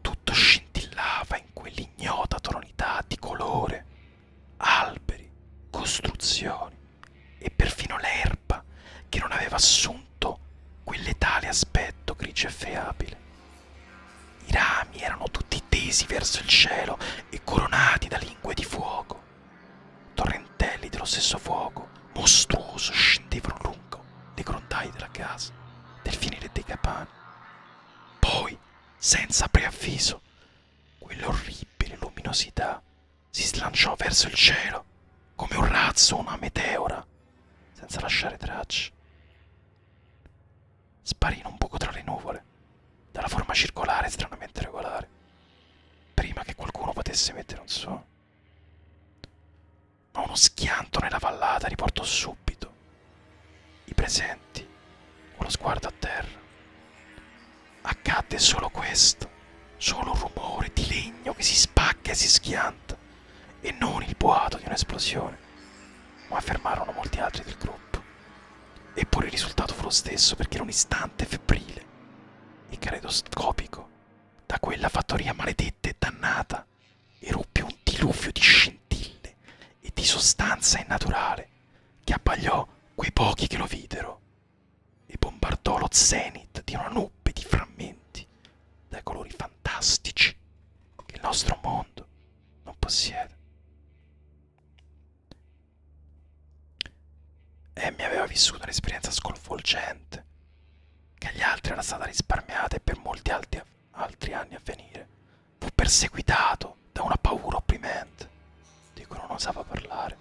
Tutto scintillava in quell'ignota tonalità di colore, alberi, costruzioni e perfino l'erba che non aveva assunto quell'etale aspetto grigio e feabile. I rami erano tutti tesi verso il cielo e coronati da lingue di fuoco, torrentelli dello stesso fuoco mostruoso scendevano lungo le grondaie della casa del finire dei capani. Poi, senza preavviso, quell'orribile luminosità si slanciò verso il cielo come un razzo o una meteora, senza lasciare tracce. Sparì in un buco tra le nuvole, dalla forma circolare stranamente regolare, prima che qualcuno potesse mettere un suono. Ma uno schianto nella vallata riportò subito i presenti con lo sguardo a terra. Accadde solo questo, solo un rumore di legno che si spacca e si schianta, e non il boato di un'esplosione, ma affermarono molti altri del gruppo. Eppure il risultato fu lo stesso perché in un istante febbrile e caleidoscopico da quella fattoria maledetta e dannata eruppe un diluvio di scintille e di sostanza innaturale che abbagliò quei pochi che lo videro e bombardò lo zenit di una nube di frammenti dai colori fantastici che il nostro mondo non possiede. Emmy aveva vissuto un'esperienza sconvolgente che agli altri era stata risparmiata e per molti altri, altri anni a venire. Fu perseguitato da una paura opprimente di cui non osava parlare,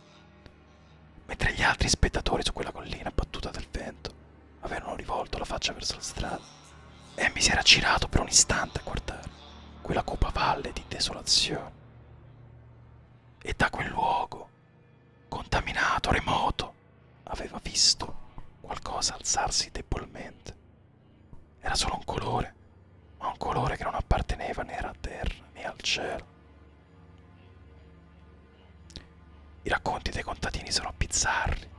mentre gli altri spettatori su quella collina battuta dal vento avevano rivolto la faccia verso la strada. Amy si era girato per un istante a guardare quella copavalle di desolazione. E da quel luogo contaminato, remoto, aveva visto qualcosa alzarsi debolmente. Era solo un colore, ma un colore che non apparteneva né alla terra né al cielo. I racconti dei contadini sono bizzarri.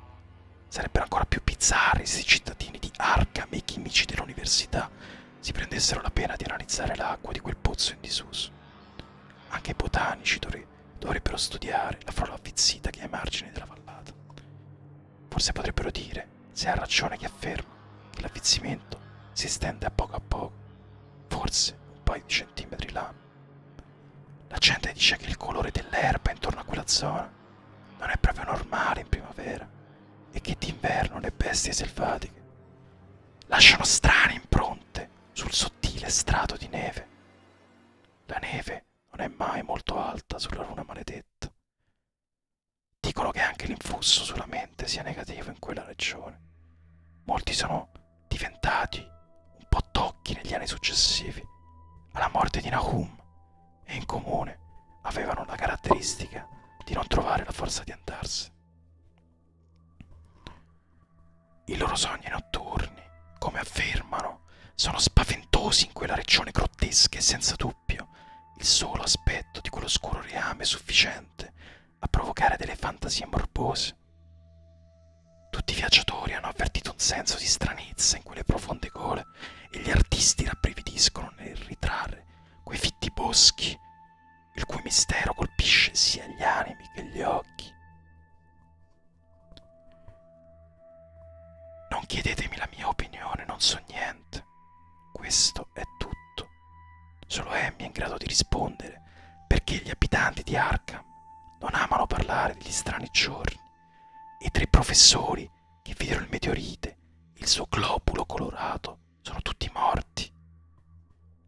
Sarebbero ancora più bizzarri se i cittadini di Arkham e i chimici dell'università si prendessero la pena di analizzare l'acqua di quel pozzo in disuso. Anche i botanici dovrebbero Dovrebbero studiare la folla avvizzita che è ai margini della vallata. Forse potrebbero dire, se ha ragione chi afferma, che l'avvizzimento si estende a poco a poco, forse un paio di centimetri là. La gente dice che il colore dell'erba intorno a quella zona non è proprio normale in primavera e che d'inverno le bestie selvatiche lasciano strane impronte sul sottile strato di neve. La neve non è mai molto alta sulla luna maledetta. Dicono che anche l'influsso sulla mente sia negativo in quella regione. Molti sono diventati un po' tocchi negli anni successivi alla morte di Nahum e in comune avevano la caratteristica di non trovare la forza di andarsene. I loro sogni notturni, come affermano, sono spaventosi in quella regione grottesca e senza dubbio il solo aspetto di quell'oscuro reame è sufficiente a provocare delle fantasie morbose. Tutti i viaggiatori hanno avvertito un senso di stranezza in quelle profonde gole e gli artisti rabbrividiscono nel ritrarre quei fitti boschi, il cui mistero colpisce sia gli animi che gli occhi. Non chiedetemi la mia opinione, non so niente. Questo è tutto. Solo Amy è in grado di rispondere perché gli abitanti di Arkham non amano parlare degli strani giorni. I tre professori che videro il meteorite, il suo globulo colorato, sono tutti morti.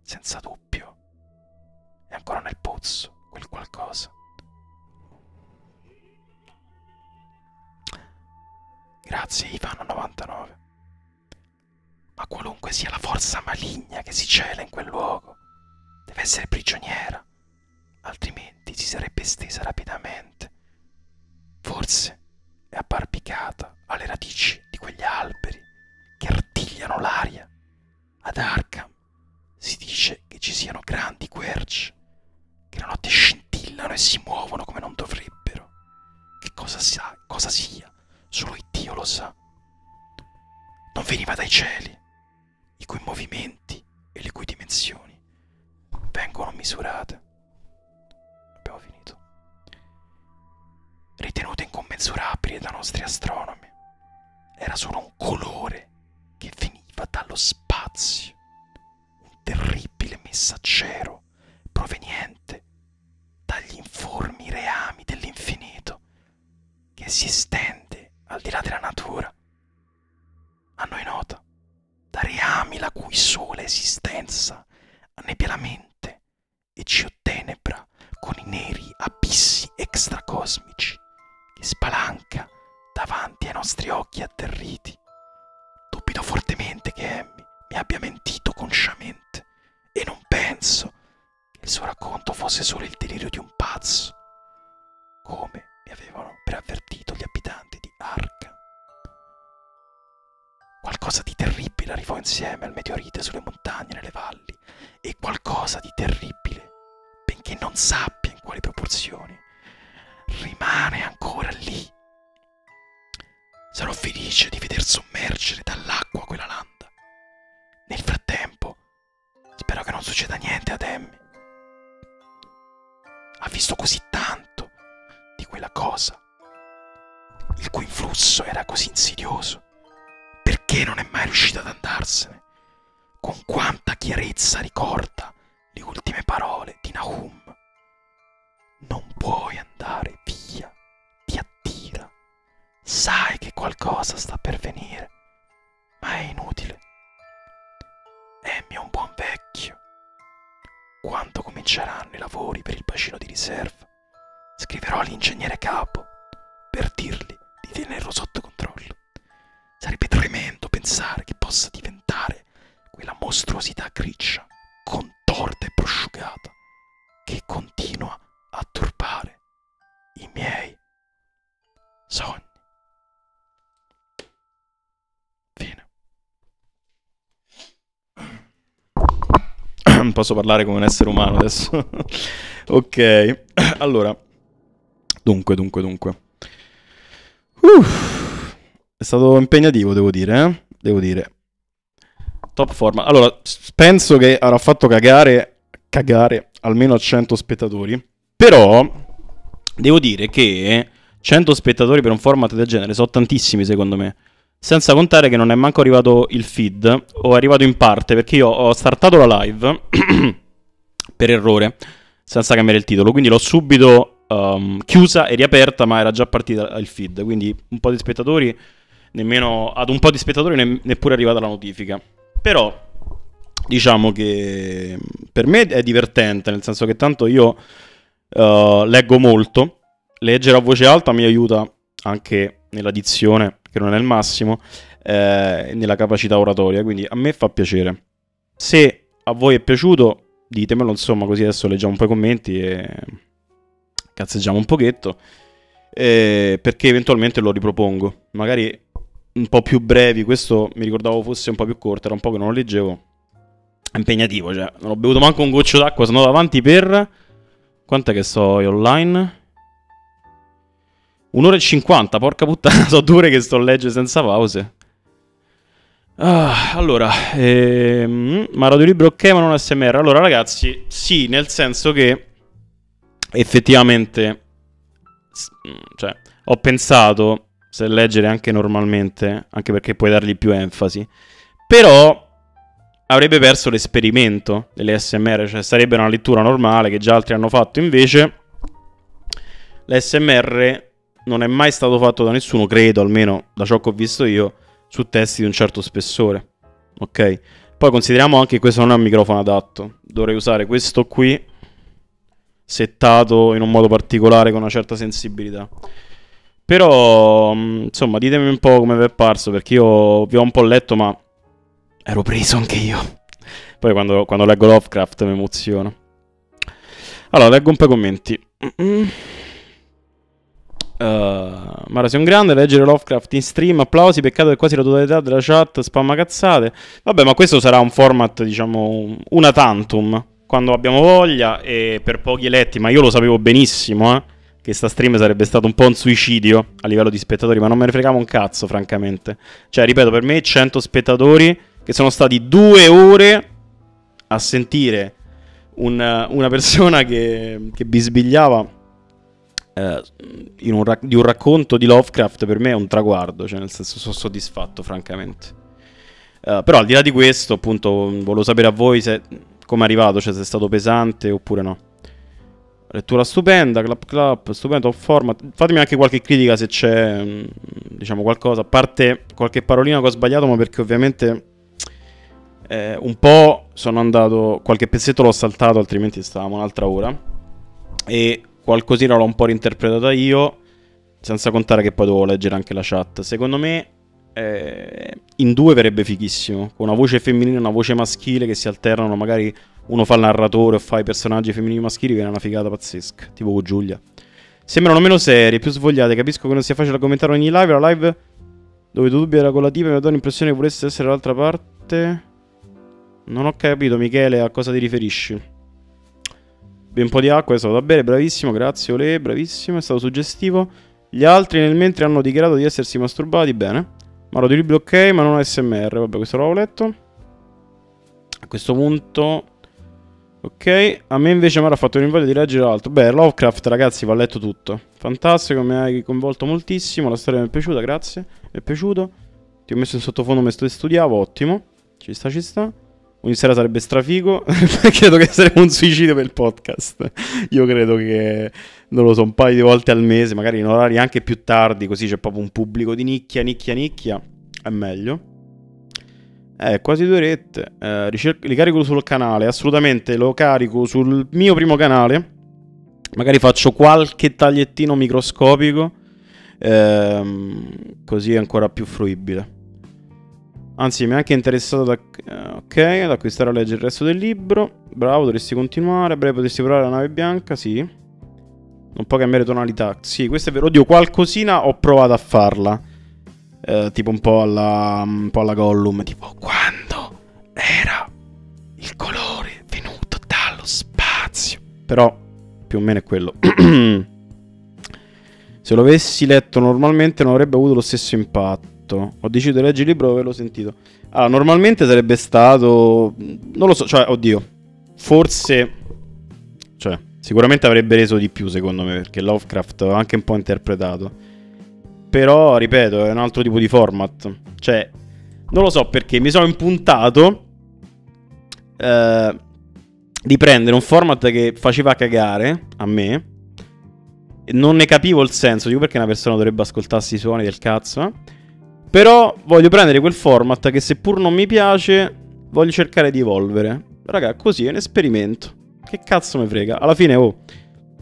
Senza dubbio, mano. È ancora nel pozzo quel qualcosa. Grazie Ivano99. Ma qualunque sia la forza maligna che si cela in quel luogo, deve essere prigioniera, altrimenti si sarebbe estesa rapidamente. Forse è abbarbicata alle radici di quegli alberi che artigliano l'aria ad Arkham si dice che ci siano grandi querci che la notte scintillano e si muovono come non dovrebbero. Che cosa, sa, cosa sia, solo il Dio lo sa. Non veniva dai cieli, i cui movimenti e le cui dimensioni vengono misurate. Abbiamo finito. Ritenute incommensurabili da nostri astronomi, era solo un colore che veniva dallo spazio, un terribile messaggero proveniente dagli informi reami dell'infinito che si estende al di là della natura. A noi nota, da reami la cui sola esistenza annebbia la mente e ci ottenebra con i neri abissi extracosmici che spalanca davanti ai nostri occhi atterriti. Dubito fortemente che Emmy mi abbia mentito consciamente e non penso che il suo racconto fosse solo il delirio di un pazzo, come mi avevano preavvertito gli abitanti di Arca. Qualcosa di terribile arrivò insieme al meteorite sulle montagne e nelle valli e qualcosa di terribile, benché non sappia in quali proporzioni, rimane ancora lì. Sarò felice di veder sommergere dall'acqua quella landa. Nel frattempo, spero che non succeda niente ad Emmy. Ha visto così tanto di quella cosa, il cui influsso era così insidioso. Perché non è mai riuscito ad andarsene? con quanta chiarezza ricorda le ultime parole di Nahum. Non puoi andare via, ti attira, sai che qualcosa sta per venire, ma è inutile. Emmy è un buon vecchio. Quando cominceranno i lavori per il bacino di riserva, scriverò all'ingegnere capo per dirgli di tenerlo sotto controllo. Sarebbe tremendo pensare che possa diventare quella mostruosità grigia, contorta e prosciugata, che continua a turbare i miei sogni. Fine. Posso parlare come un essere umano adesso? ok, allora. Dunque, dunque, dunque. Uff, è stato impegnativo, devo dire, eh? devo dire. Top forma. Allora, penso che avrà fatto cagare, cagare almeno a 100 spettatori. Però, devo dire che 100 spettatori per un format del genere sono tantissimi, secondo me. Senza contare che non è manco arrivato il feed, o è arrivato in parte, perché io ho startato la live per errore senza cambiare il titolo. Quindi l'ho subito um, chiusa e riaperta, ma era già partita il feed. Quindi un po' di spettatori, nemmeno, ad un po' di spettatori ne, neppure è arrivata la notifica. Però diciamo che per me è divertente, nel senso che tanto io uh, leggo molto, leggere a voce alta mi aiuta anche nella dizione, che non è il massimo, eh, nella capacità oratoria, quindi a me fa piacere. Se a voi è piaciuto, ditemelo, insomma, così adesso leggiamo un po' i commenti e cazzeggiamo un pochetto. Eh, perché eventualmente lo ripropongo. Magari un po' più brevi, questo mi ricordavo fosse un po' più corto, era un po' che non lo leggevo. È impegnativo, cioè, non ho bevuto manco un goccio d'acqua, sono andato avanti per... Quant'è che so io online? Un'ora e cinquanta, porca puttana, so dure che sto a leggere senza pause. Ah, allora, ehm, ma Radio Libro ok, ma non SMR. Allora, ragazzi, sì, nel senso che effettivamente, mm, cioè, ho pensato se leggere anche normalmente, anche perché puoi dargli più enfasi, però avrebbe perso l'esperimento delle SMR, cioè sarebbe una lettura normale che già altri hanno fatto, invece L'SMR non è mai stato fatto da nessuno, credo almeno da ciò che ho visto io, su testi di un certo spessore. Ok? Poi consideriamo anche che questo non è un microfono adatto. Dovrei usare questo qui, settato in un modo particolare con una certa sensibilità. Però, mm, insomma, ditemi un po' come vi è parso, perché io vi ho un po' letto, ma ero preso anche io. Poi quando, quando leggo Lovecraft mi emoziono. Allora, leggo un po' i commenti. Mm-mm. Uh, Mara sei un grande, leggere Lovecraft in stream, applausi, peccato che quasi la totalità della chat spamma cazzate. Vabbè, ma questo sarà un format, diciamo, una tantum, quando abbiamo voglia e per pochi eletti, ma io lo sapevo benissimo, eh, che sta stream sarebbe stato un po' un suicidio a livello di spettatori, ma non me ne fregava un cazzo, francamente. Cioè, ripeto, per me 100 spettatori che sono stati due ore a sentire un, una persona che, che bisbigliava eh, un rac- di un racconto di Lovecraft per me è un traguardo, cioè nel senso sono soddisfatto francamente. Uh, però al di là di questo, appunto, volevo sapere a voi se, come è arrivato, cioè se è stato pesante oppure no. Lettura stupenda, clap clap, stupendo format. Fatemi anche qualche critica se c'è mm, Mm, diciamo qualcosa, a parte qualche parolina che ho sbagliato, ma perché ovviamente eh, un po' sono andato, qualche pezzetto l'ho saltato, altrimenti stavamo un'altra ora, e qualcosina l'ho un po' reinterpretata io, senza contare che poi devo leggere anche la chat. Secondo me eh, in due verrebbe fighissimo, con una voce femminile e una voce maschile che si alternano, magari uno fa il narratore o fa i personaggi femminili e maschili, viene una figata pazzesca, tipo Giulia. Bibbia. Sembrano meno serie, più svogliate. Capisco che non sia facile commentare ogni live. La live dove tu dubbi era con la tipa mi ha dato l'impressione che volesse essere dall'altra parte. Non ho capito, Michele, a cosa ti riferisci. Ben un po' di acqua, è stato da bere, bravissimo, grazie Ole, bravissimo, è stato suggestivo. Gli altri nel mentre hanno dichiarato di essersi masturbati, bene. Maro di Libri ok, ma non ASMR, vabbè questo l'ho letto. A questo punto Ok, a me invece mi ha fatto venire di leggere altro. Beh, Lovecraft, ragazzi, va letto tutto. Fantastico, mi hai coinvolto moltissimo. La storia mi è piaciuta, grazie. Mi è piaciuto. Ti ho messo in sottofondo mentre studiavo, ottimo. Ci sta, ci sta. Ogni sera sarebbe strafigo. credo che sarebbe un suicidio per il podcast. Io credo che, non lo so, un paio di volte al mese, magari in orari anche più tardi, così c'è proprio un pubblico di nicchia, nicchia, nicchia. È meglio. Eh, quasi due rette. Eh, ricerco, li carico sul canale, assolutamente lo carico sul mio primo canale. Magari faccio qualche tagliettino microscopico. Ehm, così è ancora più fruibile. Anzi, mi è anche interessato da, eh, ok, ad acquistare a leggere il resto del libro. Bravo, dovresti continuare. A breve potresti provare la nave bianca, sì. Non può cambiare tonalità. Sì, questo è vero. Oddio, qualcosina ho provato a farla. Eh, tipo un po' alla. Mm, un po' alla Gollum. Tipo, quando era il colore venuto dallo spazio. Però, più o meno è quello. Se lo avessi letto normalmente non avrebbe avuto lo stesso impatto. Ho deciso di leggere il libro dopo averlo sentito. Allora, ah, normalmente sarebbe stato. Mm, non lo so, cioè, oddio. Forse cioè, sicuramente avrebbe reso di più, secondo me, perché Lovecraft va anche un po' interpretato. Però, ripeto, è un altro tipo di format. Cioè, non lo so perché mi sono impuntato eh, di prendere un format che faceva cagare a me. Non ne capivo il senso, dico perché una persona dovrebbe ascoltarsi i suoni del cazzo. Eh. Però voglio prendere quel format che seppur non mi piace, voglio cercare di evolvere. Raga, così è un esperimento. Che cazzo me frega? Alla fine, oh,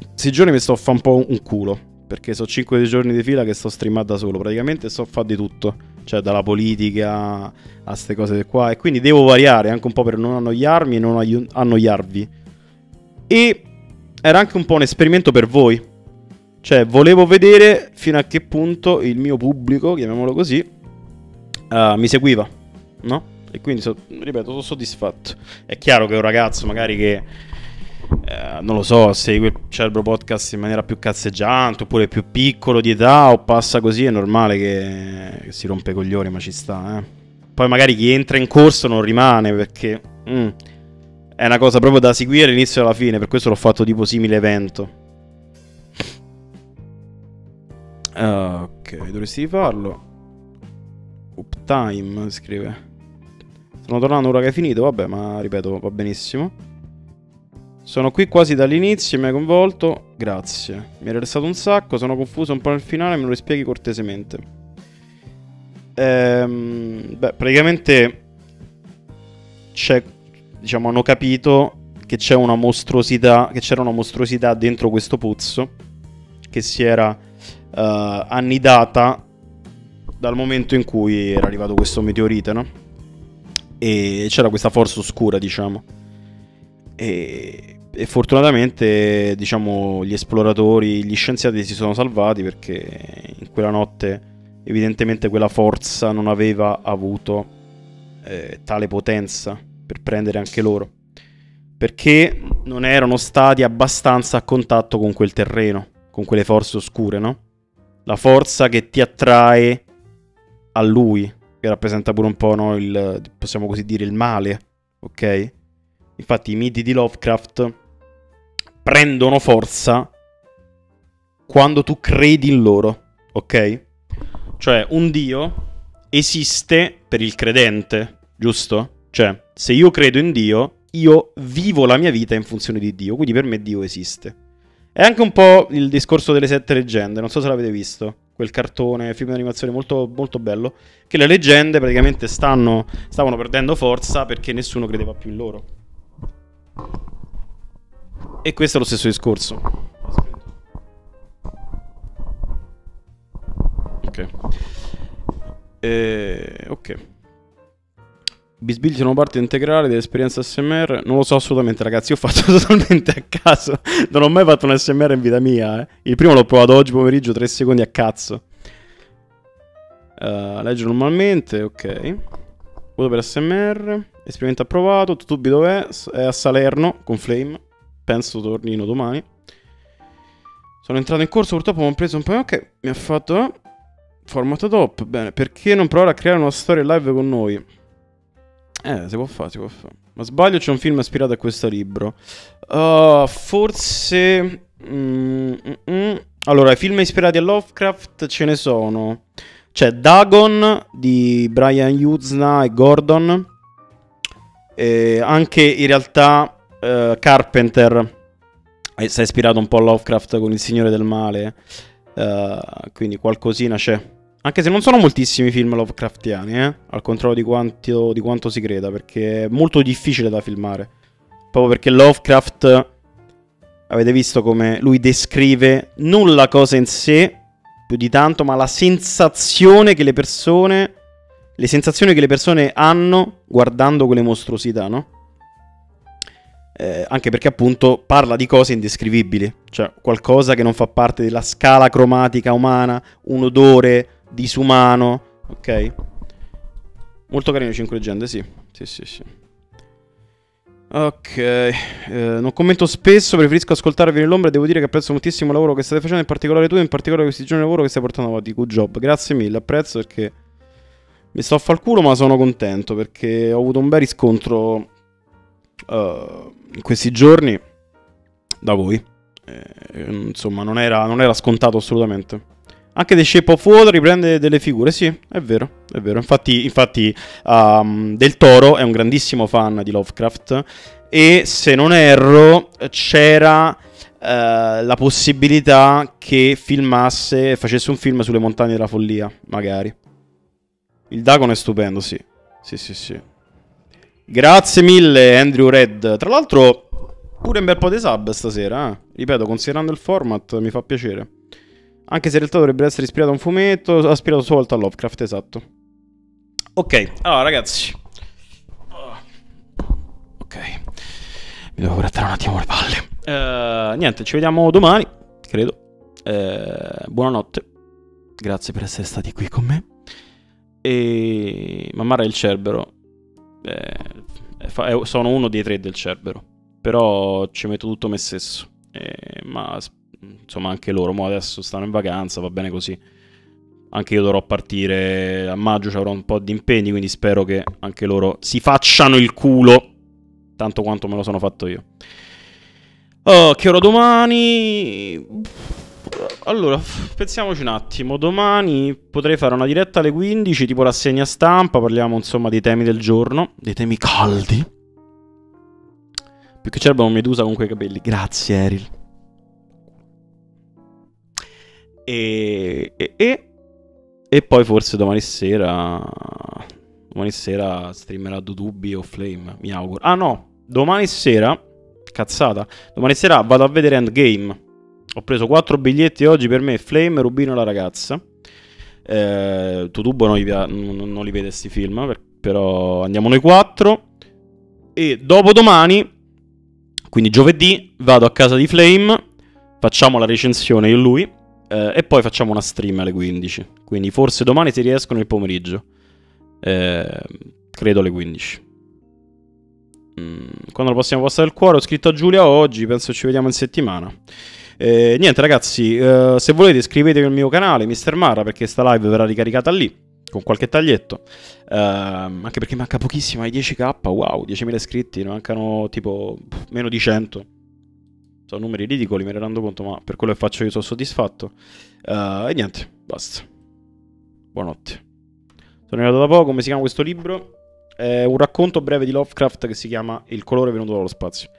questi giorni mi sto a fa un po' un culo. Perché sono 5 giorni di fila che sto streamando da solo. Praticamente sto a fare di tutto. Cioè, dalla politica a queste cose qua. E quindi devo variare anche un po' per non annoiarmi e non annoiarvi. E era anche un po' un esperimento per voi. Cioè, volevo vedere fino a che punto il mio pubblico, chiamiamolo così, uh, mi seguiva, no? E quindi, so, ripeto, sono soddisfatto. È chiaro che un ragazzo magari che... Eh, non lo so, segue il Cerbro Podcast in maniera più cazzeggiante oppure più piccolo di età o passa così, è normale che, che si rompe i coglioni, ma ci sta. Eh. Poi magari chi entra in corso non rimane perché mm, è una cosa proprio da seguire all'inizio e alla fine, per questo l'ho fatto tipo simile evento. Uh, ok, dovresti farlo. Uptime scrive. Sono tornato ora che è finito, vabbè, ma ripeto, va benissimo. Sono qui quasi dall'inizio, mi hai coinvolto, grazie. Mi hai restato un sacco, sono confuso un po' nel finale, me lo rispieghi cortesemente. Ehm, beh, praticamente c'è diciamo, hanno capito che, c'è una mostruosità, che c'era una mostruosità dentro questo pozzo che si era uh, annidata dal momento in cui era arrivato questo meteorite, no? E c'era questa forza oscura, diciamo. E, e fortunatamente, diciamo, gli esploratori, gli scienziati si sono salvati perché in quella notte evidentemente quella forza non aveva avuto eh, tale potenza per prendere anche loro, perché non erano stati abbastanza a contatto con quel terreno, con quelle forze oscure, no? La forza che ti attrae a lui, che rappresenta pure un po' no, il, possiamo così dire, il male, ok? Infatti i miti di Lovecraft prendono forza quando tu credi in loro ok? Cioè un Dio esiste per il credente, giusto? Cioè, se io credo in Dio, io vivo la mia vita in funzione di Dio, quindi per me Dio esiste. È anche un po' il discorso delle sette leggende, non so se l'avete visto, quel cartone, film di animazione molto, molto bello, che le leggende praticamente stanno, stavano perdendo forza perché nessuno credeva più in loro. E questo è lo stesso discorso. Ok. Eh, ok. Bisbigli sono parte integrale dell'esperienza SMR? Non lo so assolutamente, ragazzi. Io ho fatto totalmente a caso. Non ho mai fatto un SMR in vita mia. Eh. Il primo l'ho provato oggi pomeriggio, 3 secondi a cazzo. Uh, eh, legge normalmente, ok. Voto per SMR. Esperimento approvato, Tutubi dov'è? È a Salerno con Flame. Penso tornino domani. Sono entrato in corso, purtroppo mi ho preso un paio. che mi ha fatto... Format top, bene. Perché non provare a creare una storia live con noi? Eh, si può fare, si può fare. Ma sbaglio, c'è un film ispirato a questo libro. Uh, forse... Mm, mm, mm. Allora, i film ispirati a Lovecraft ce ne sono. C'è Dagon di Brian Uzna e Gordon. E anche in realtà uh, Carpenter si è ispirato un po' a Lovecraft con Il Signore del Male. Uh, quindi qualcosina c'è. Anche se non sono moltissimi film Lovecraftiani, eh? al contrario di quanto, di quanto, si creda, perché è molto difficile da filmare. Proprio perché Lovecraft, avete visto come lui descrive non la cosa in sé, più di tanto, ma la sensazione che le persone. Le sensazioni che le persone hanno guardando quelle mostruosità, no? Eh, anche perché appunto parla di cose indescrivibili, cioè qualcosa che non fa parte della scala cromatica umana, un odore disumano, ok? Molto carino 5 leggende, sì. Sì, sì, sì. Ok eh, non commento spesso, preferisco ascoltarvi nell'ombra e devo dire che apprezzo moltissimo il lavoro che state facendo, in particolare tu, in particolare questi giorni di lavoro che stai portando avanti. Good job, grazie mille, apprezzo perché mi sto a far culo, ma sono contento perché ho avuto un bel riscontro uh, in questi giorni da voi. Eh, insomma, non era, non era scontato assolutamente. Anche The Shape of Water riprende delle figure, sì, è vero, è vero. Infatti, infatti um, Del Toro è un grandissimo fan di Lovecraft e se non erro c'era eh, la possibilità che filmasse, facesse un film sulle montagne della follia, magari. Il Dagon è stupendo, sì. Sì, sì, sì. Grazie mille Andrew Red. Tra l'altro pure un bel po' di sub stasera, eh. ripeto, considerando il format mi fa piacere. Anche se in realtà dovrebbe essere ispirato a un fumetto, aspirato solo a Lovecraft, esatto. Ok, allora ragazzi. Ok. Mi devo grattare un attimo le palle. Uh, niente, ci vediamo domani, credo. Uh, buonanotte. Grazie per essere stati qui con me. E Mammara il Cerbero. Eh, sono uno dei tre del Cerbero. Però ci metto tutto me stesso. Eh, ma insomma anche loro, mo adesso stanno in vacanza, va bene così. Anche io dovrò partire a maggio, avrò un po' di impegni, quindi spero che anche loro si facciano il culo tanto quanto me lo sono fatto io. Oh, che ora domani? Allora, pensiamoci un attimo. Domani potrei fare una diretta alle 15, tipo rassegna stampa, parliamo insomma dei temi del giorno, dei temi caldi. Più che cerba un medusa con quei capelli. Grazie, Eril. E, e, e, e poi forse domani sera. Domani sera streamerà Dudubbi o Flame. Mi auguro. Ah, no. Domani sera. Cazzata. Domani sera vado a vedere Endgame. Ho preso 4 biglietti oggi per me, Flame, Rubino e la ragazza. Eh, Tutubo non, non, non li vede questi film, però andiamo noi quattro. E dopodomani, quindi giovedì, vado a casa di Flame, facciamo la recensione io e lui, eh, e poi facciamo una stream alle 15. Quindi forse domani si riesco nel pomeriggio. Eh, credo alle 15. Mm, quando la prossima posta del cuore ho scritto a Giulia oggi, penso ci vediamo in settimana. Eh, niente ragazzi, eh, se volete iscrivetevi al mio canale Mr. Mara perché sta live verrà ricaricata lì con qualche taglietto. Uh, anche perché manca pochissimo ai 10k, wow, 10.000 iscritti, ne mancano tipo pff, meno di 100. Sono numeri ridicoli, me ne rendo conto, ma per quello che faccio io sono soddisfatto. Uh, e niente, basta. Buonanotte. Sono arrivato da poco, come si chiama questo libro? È un racconto breve di Lovecraft che si chiama Il colore venuto dallo spazio.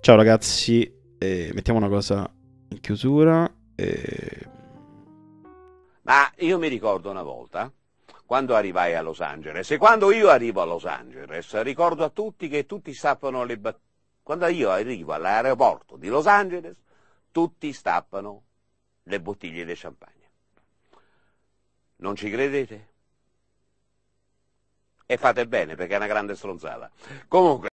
Ciao ragazzi, mettiamo una cosa in chiusura. E... Ma io mi ricordo una volta, quando arrivai a Los Angeles, e quando io arrivo a Los Angeles, ricordo a tutti che tutti stappano le battute. Quando io arrivo all'aeroporto di Los Angeles, tutti stappano le bottiglie di champagne. Non ci credete? E fate bene perché è una grande stronzata. Comunque.